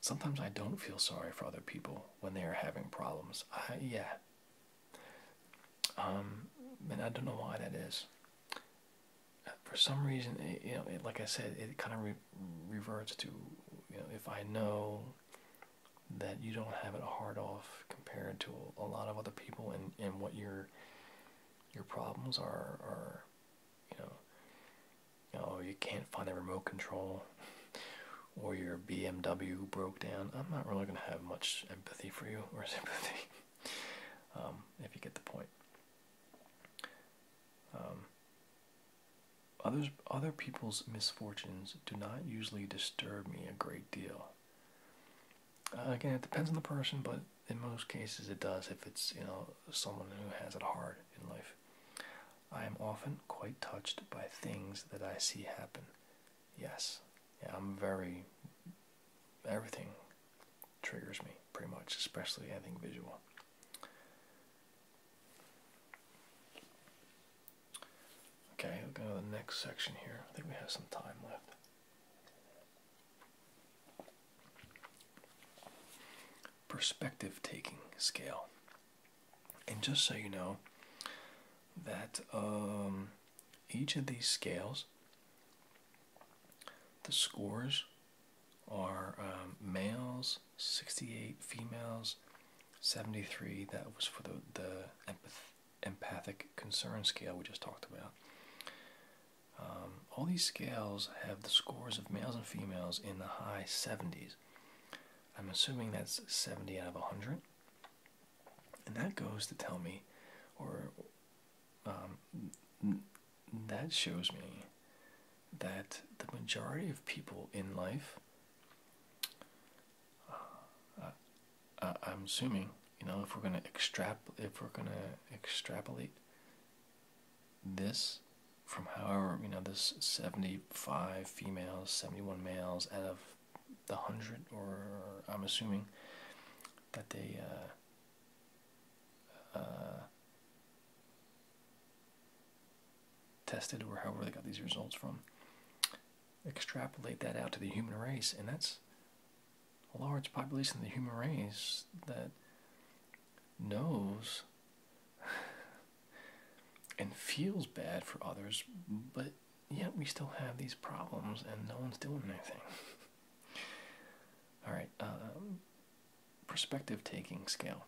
sometimes I don't feel sorry for other people when they are having problems. yeah. Um, and I don't know why that is. For some reason, eh, you know, like I said, it kind of reverts to, you know, if I know that you don't have it hard off compared to a lot of other people and, and what your your problems are are you know you oh, you can't find a remote control or your BMW broke down. I'm not really gonna have much empathy for you or sympathy um, if you get the point. Um, others other people's misfortunes do not usually disturb me a great deal. Uh, again, it depends on the person, but in most cases it does if it's, you know, someone who has it hard in life. I am often quite touched by things that I see happen. Yes. I'm very everything triggers me pretty much, especially anything visual. Okay, we'll go to the next section here. I think we have some time left. Perspective taking scale. And just so you know, that um, each of these scales, the scores are um, males 68, females 73. That was for the, the empath empathic concern scale we just talked about. Um, all these scales have the scores of males and females in the high 70s. I'm assuming that's 70 out of 100. And that goes to tell me, or um, that shows me that the majority of people in life uh, uh, I, am assuming you know if we're gonna extrap if we're gonna extrapolate this from however you know this 75 females 71 males out of the hundred or I'm assuming that they uh, tested or however they got these results from extrapolate that out to the human race, and that's a large population of the human race that knows and feels bad for others, but yet we still have these problems and no one's doing anything. All right, um, perspective taking scale.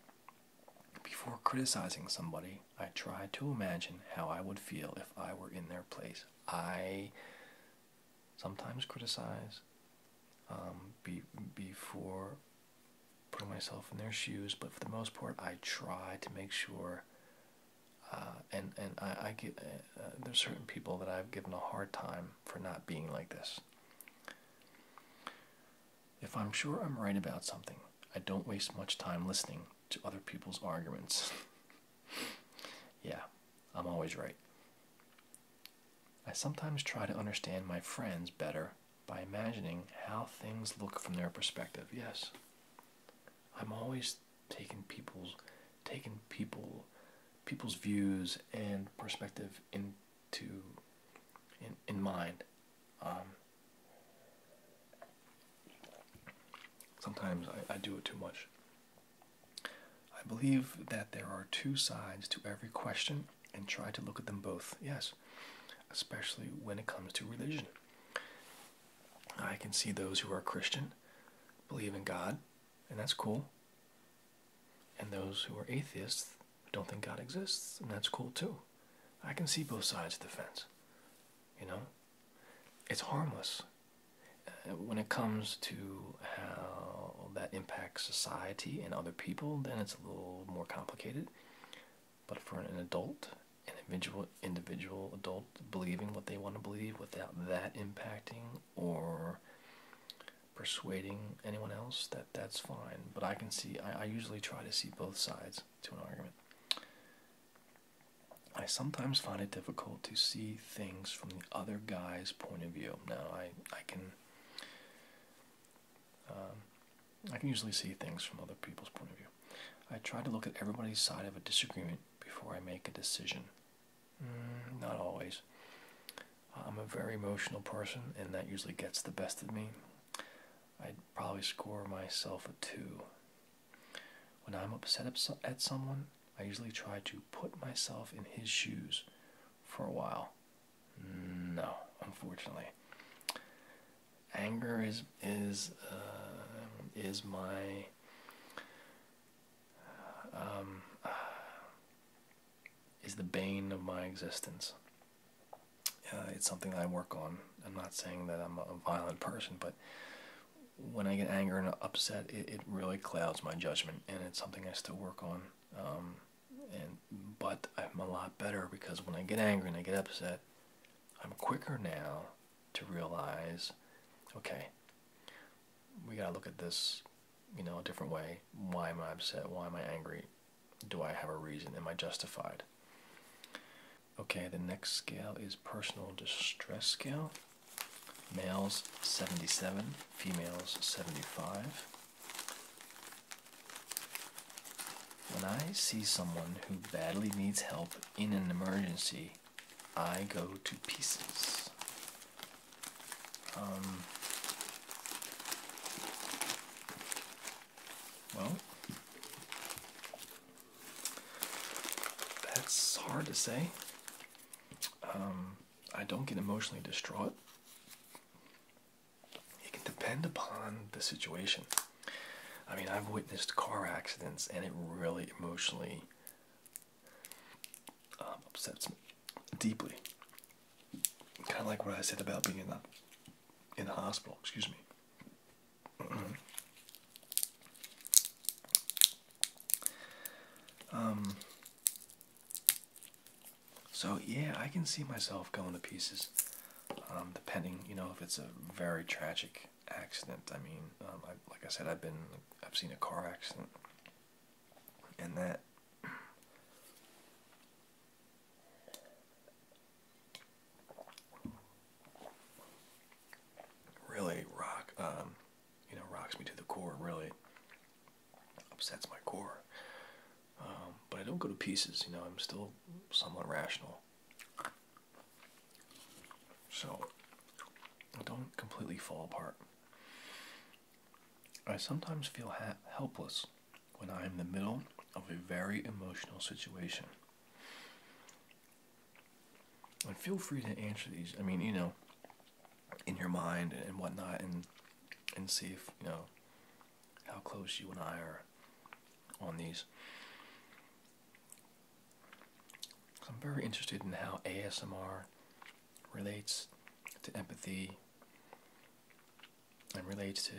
Before criticizing somebody, I try to imagine how I would feel if I were in their place. I sometimes criticize um, be, before putting myself in their shoes, but for the most part, I try to make sure. Uh, and and I, get uh, uh, there's certain people that I've given a hard time for not being like this. If I'm sure I'm right about something, I don't waste much time listening to other people's arguments. yeah, I'm always right. I sometimes try to understand my friends better by imagining how things look from their perspective. Yes. I'm always taking people's taking people people's views and perspective into in, in mind. Um, sometimes I, I do it too much. I believe that there are two sides to every question and try to look at them both, yes, especially when it comes to religion. I can see those who are Christian, believe in God, and that's cool, and those who are atheists don't think God exists, and that's cool too. I can see both sides of the fence, you know? It's harmless. Uh, when it comes to how that impacts society and other people, then it's a little more complicated. But for an adult, an individual, individual adult believing what they want to believe without that impacting or persuading anyone else, that that's fine. But I can see, I usually try to see both sides to an argument. I sometimes find it difficult to see things from the other guy's point of view. Now, I, I can. Um, I can usually see things from other people's point of view. I try to look at everybody's side of a disagreement before I make a decision. Mm, not always. I'm a very emotional person, and that usually gets the best of me. I'd probably score myself a two when I'm upset at someone, I usually try to put myself in his shoes for a while. No, unfortunately. Anger is is uh, is my um, is the bane of my existence. Uh, it's something I work on. I'm not saying that I'm a violent person, but when I get angry and upset, it, it really clouds my judgment, and it's something I still work on. Um, and but I'm a lot better because when I get angry and I get upset, I'm quicker now to realize, okay, we gotta look at this, you know, a different way. Why am I upset? Why am I angry? Do I have a reason? Am I justified? Okay, the next scale is personal distress scale males 77, females 75. When I see someone who badly needs help in an emergency, I go to pieces. Um, well, that's hard to say. Um, I don't get emotionally distraught. It can depend upon the situation. I mean, I've witnessed car accidents, and it really emotionally um, upsets me deeply. Kind of like what I said about being in the in the hospital. Excuse me. Mm-hmm. Um, so yeah, I can see myself going to pieces. Um, depending, you know, if it's a very tragic accident. I mean, um, like I said, I've been, I've seen a car accident, and that. Really rock, you know rocks me to the core. Really upsets my core. Um, but I don't go to pieces. You know, I'm still somewhat rational. So I don't completely fall apart. I sometimes feel helpless when I am in the middle of a very emotional situation. And feel free to answer these. I mean, you know, in your mind and whatnot, and and see if you know how close you and I are on these. I'm very interested in how ASMR relates to empathy and relates to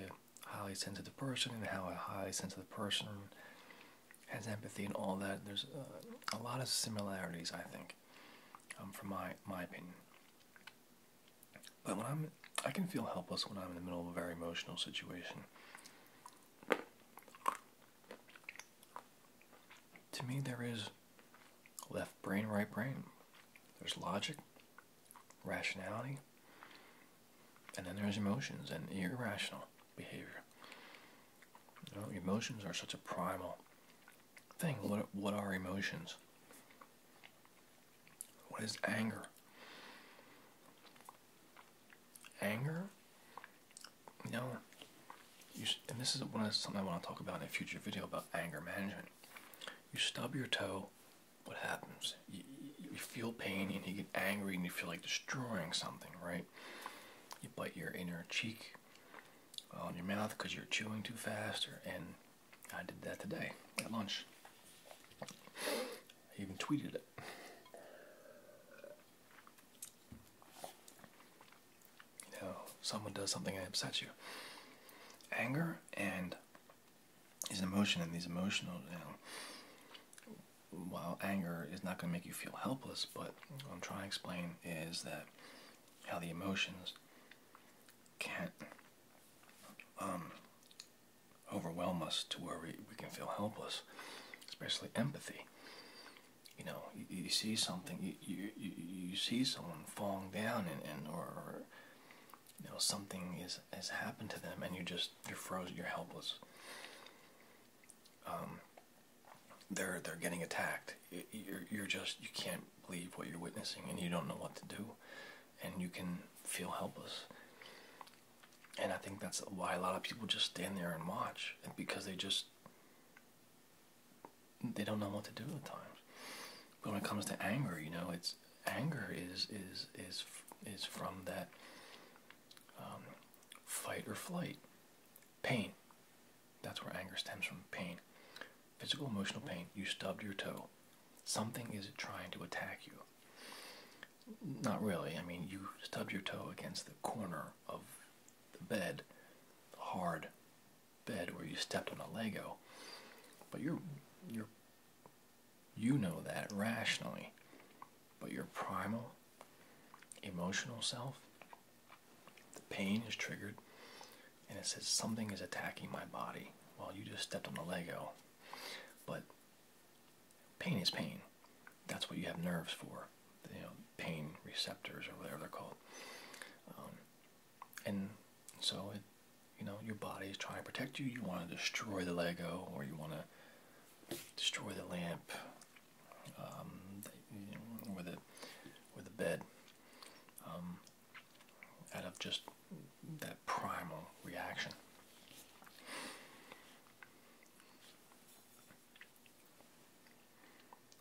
highly sensitive person and how a highly sensitive person has empathy and all that. There's uh, a lot of similarities, I think. Um, from my my opinion. But when I'm, I can feel helpless when I'm in the middle of a very emotional situation. To me, there is left brain, right brain. There's logic, rationality, and then there's emotions and irrational behavior. You know, emotions are such a primal thing. What what are emotions? What is anger? Anger? You know, you and this is one of something I want to talk about in a future video about anger management. You stub your toe, what happens? you feel pain and you get angry and you feel like destroying something, right? You bite your inner cheek, on your mouth because you're chewing too fast. Or, and I did that today at lunch. I even tweeted it. You know, someone does something that upset you. Anger and is an emotion, and these emotional, you know, while anger is not going to make you feel helpless, but what I'm trying to explain is that how the emotions can um, overwhelm us to where we, we can feel helpless, especially empathy. You know, you, see something, you, you, you see someone falling down, and, and or you know something is has happened to them, and you just you're frozen, you're helpless. Um, they're they're getting attacked. You're just you can't believe what you're witnessing, and you don't know what to do, and you can feel helpless. And I think that's why a lot of people just stand there and watch, because they just they don't know what to do at times. But when it comes to anger, you know, it's anger is is is is from that um, fight or flight. Pain. That's where anger stems from pain. Physical, emotional pain. You stubbed your toe. Something is trying to attack you. Not really. I mean, you stubbed your toe against the corner of the bed, the hard bed where you stepped on a Lego. But you're, you're, you know that rationally. But your primal, emotional self the pain is triggered, and it says something is attacking my body. Well, you just stepped on a Lego, but pain is pain. That's what you have nerves for, you know, pain receptors or whatever they're called. Um, and so it, you know, your body is trying to protect you. You want to destroy the Lego, or you want to destroy the lamp, um, the, or the bed. Um, out of just that primal reaction.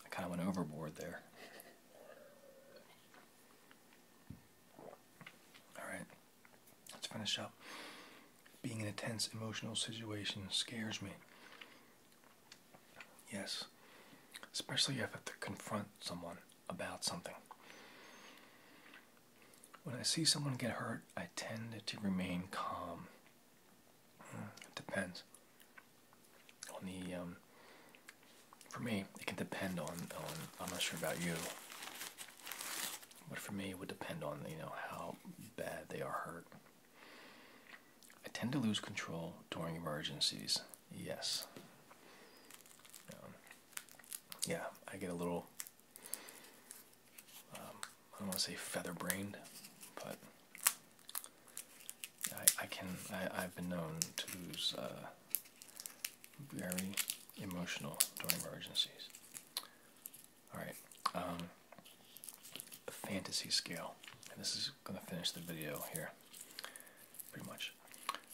I kind of went overboard there. Alright, let's finish up. Being in a tense emotional situation scares me. Yes, especially if I have to confront someone about something. When I see someone get hurt, I tend to remain calm. It depends on the. Um, for me, it can depend on. I'm not sure about you, but for me, it would depend on you know how bad they are hurt. I tend to lose control during emergencies. Yes. Um, yeah, I get a little, um, I don't want to say feather brained, but I, I can, I, have been known to lose uh, very emotional during emergencies. Alright, um, fantasy scale. And this is going to finish the video here pretty much.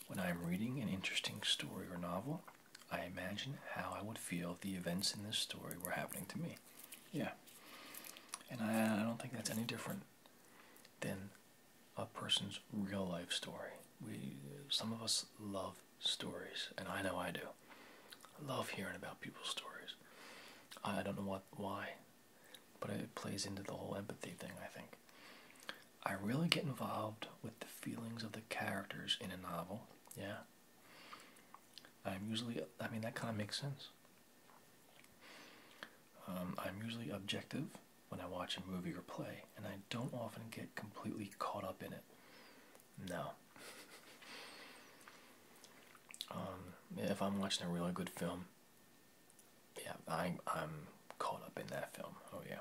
When I am reading an interesting story or novel, I imagine how I would feel if the events in this story were happening to me. Yeah. And I, I don't think that's any different than a person's real life story. We, some of us love stories, and I know I do. I love hearing about people's stories. I don't know what why but it plays into the whole empathy thing, I think. I really get involved with the feelings of the characters in a novel, yeah. I'm usually, I mean, that kind of makes sense. Um, I'm usually objective when I watch a movie or play, and I don't often get completely caught up in it. No. Um, if I'm watching a really good film, yeah, I'm I'm caught up in that film. Oh yeah.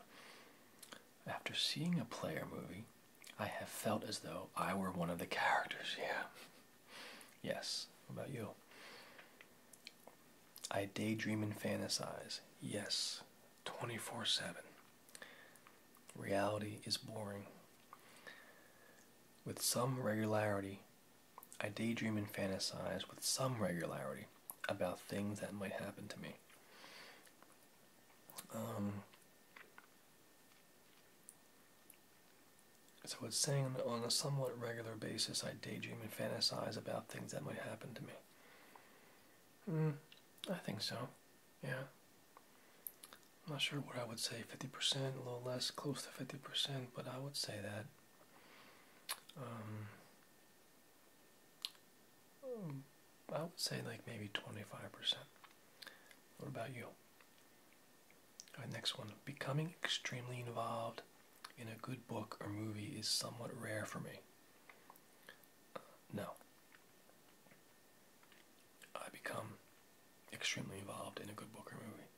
After seeing a player movie, I have felt as though I were one of the characters. Yeah. Yes. about you? I daydream and fantasize. Yes. 24 7. Reality is boring. With some regularity, I daydream and fantasize with some regularity about things that might happen to me. Um, so it's saying on a somewhat regular basis, I daydream and fantasize about things that might happen to me. Hmm, I think so. Yeah. I'm not sure what I would say, 50%, a little less, close to 50%, but I would say that. Um, Hmm, I would say like maybe 25%. What about you? All right, next one. Becoming extremely involved in a good book or movie is somewhat rare for me. Uh, no. I become extremely involved in a good book or movie.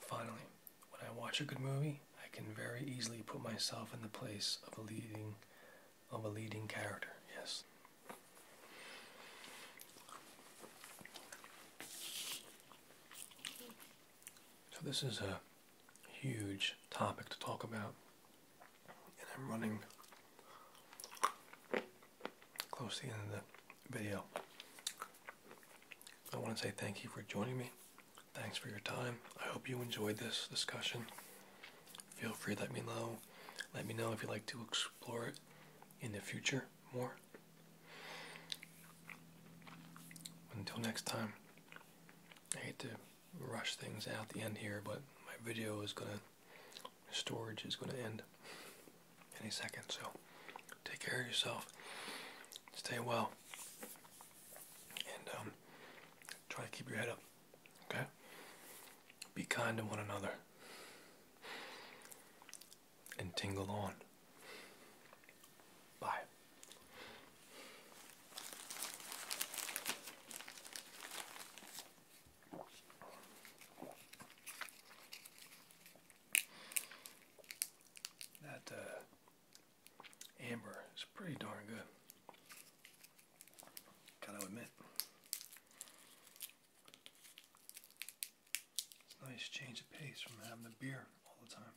Finally, when I watch a good movie, I can very easily put myself in the place of a leading of a leading character. Yes. So this is a huge topic to talk about and I'm running close to the end of the video. I want to say thank you for joining me. Thanks for your time. I hope you enjoyed this discussion. Feel free let me know. Let me know if you'd like to explore it in the future more. Until next time, I hate to rush things out the end here, but my video is gonna, storage is gonna end any second, so take care of yourself. Stay well and um, try to keep your head up. Okay? Be kind to one another and tingle on. Bye. That uh, amber is pretty darn good. Gotta admit. It's nice change of pace from having the beer all the time.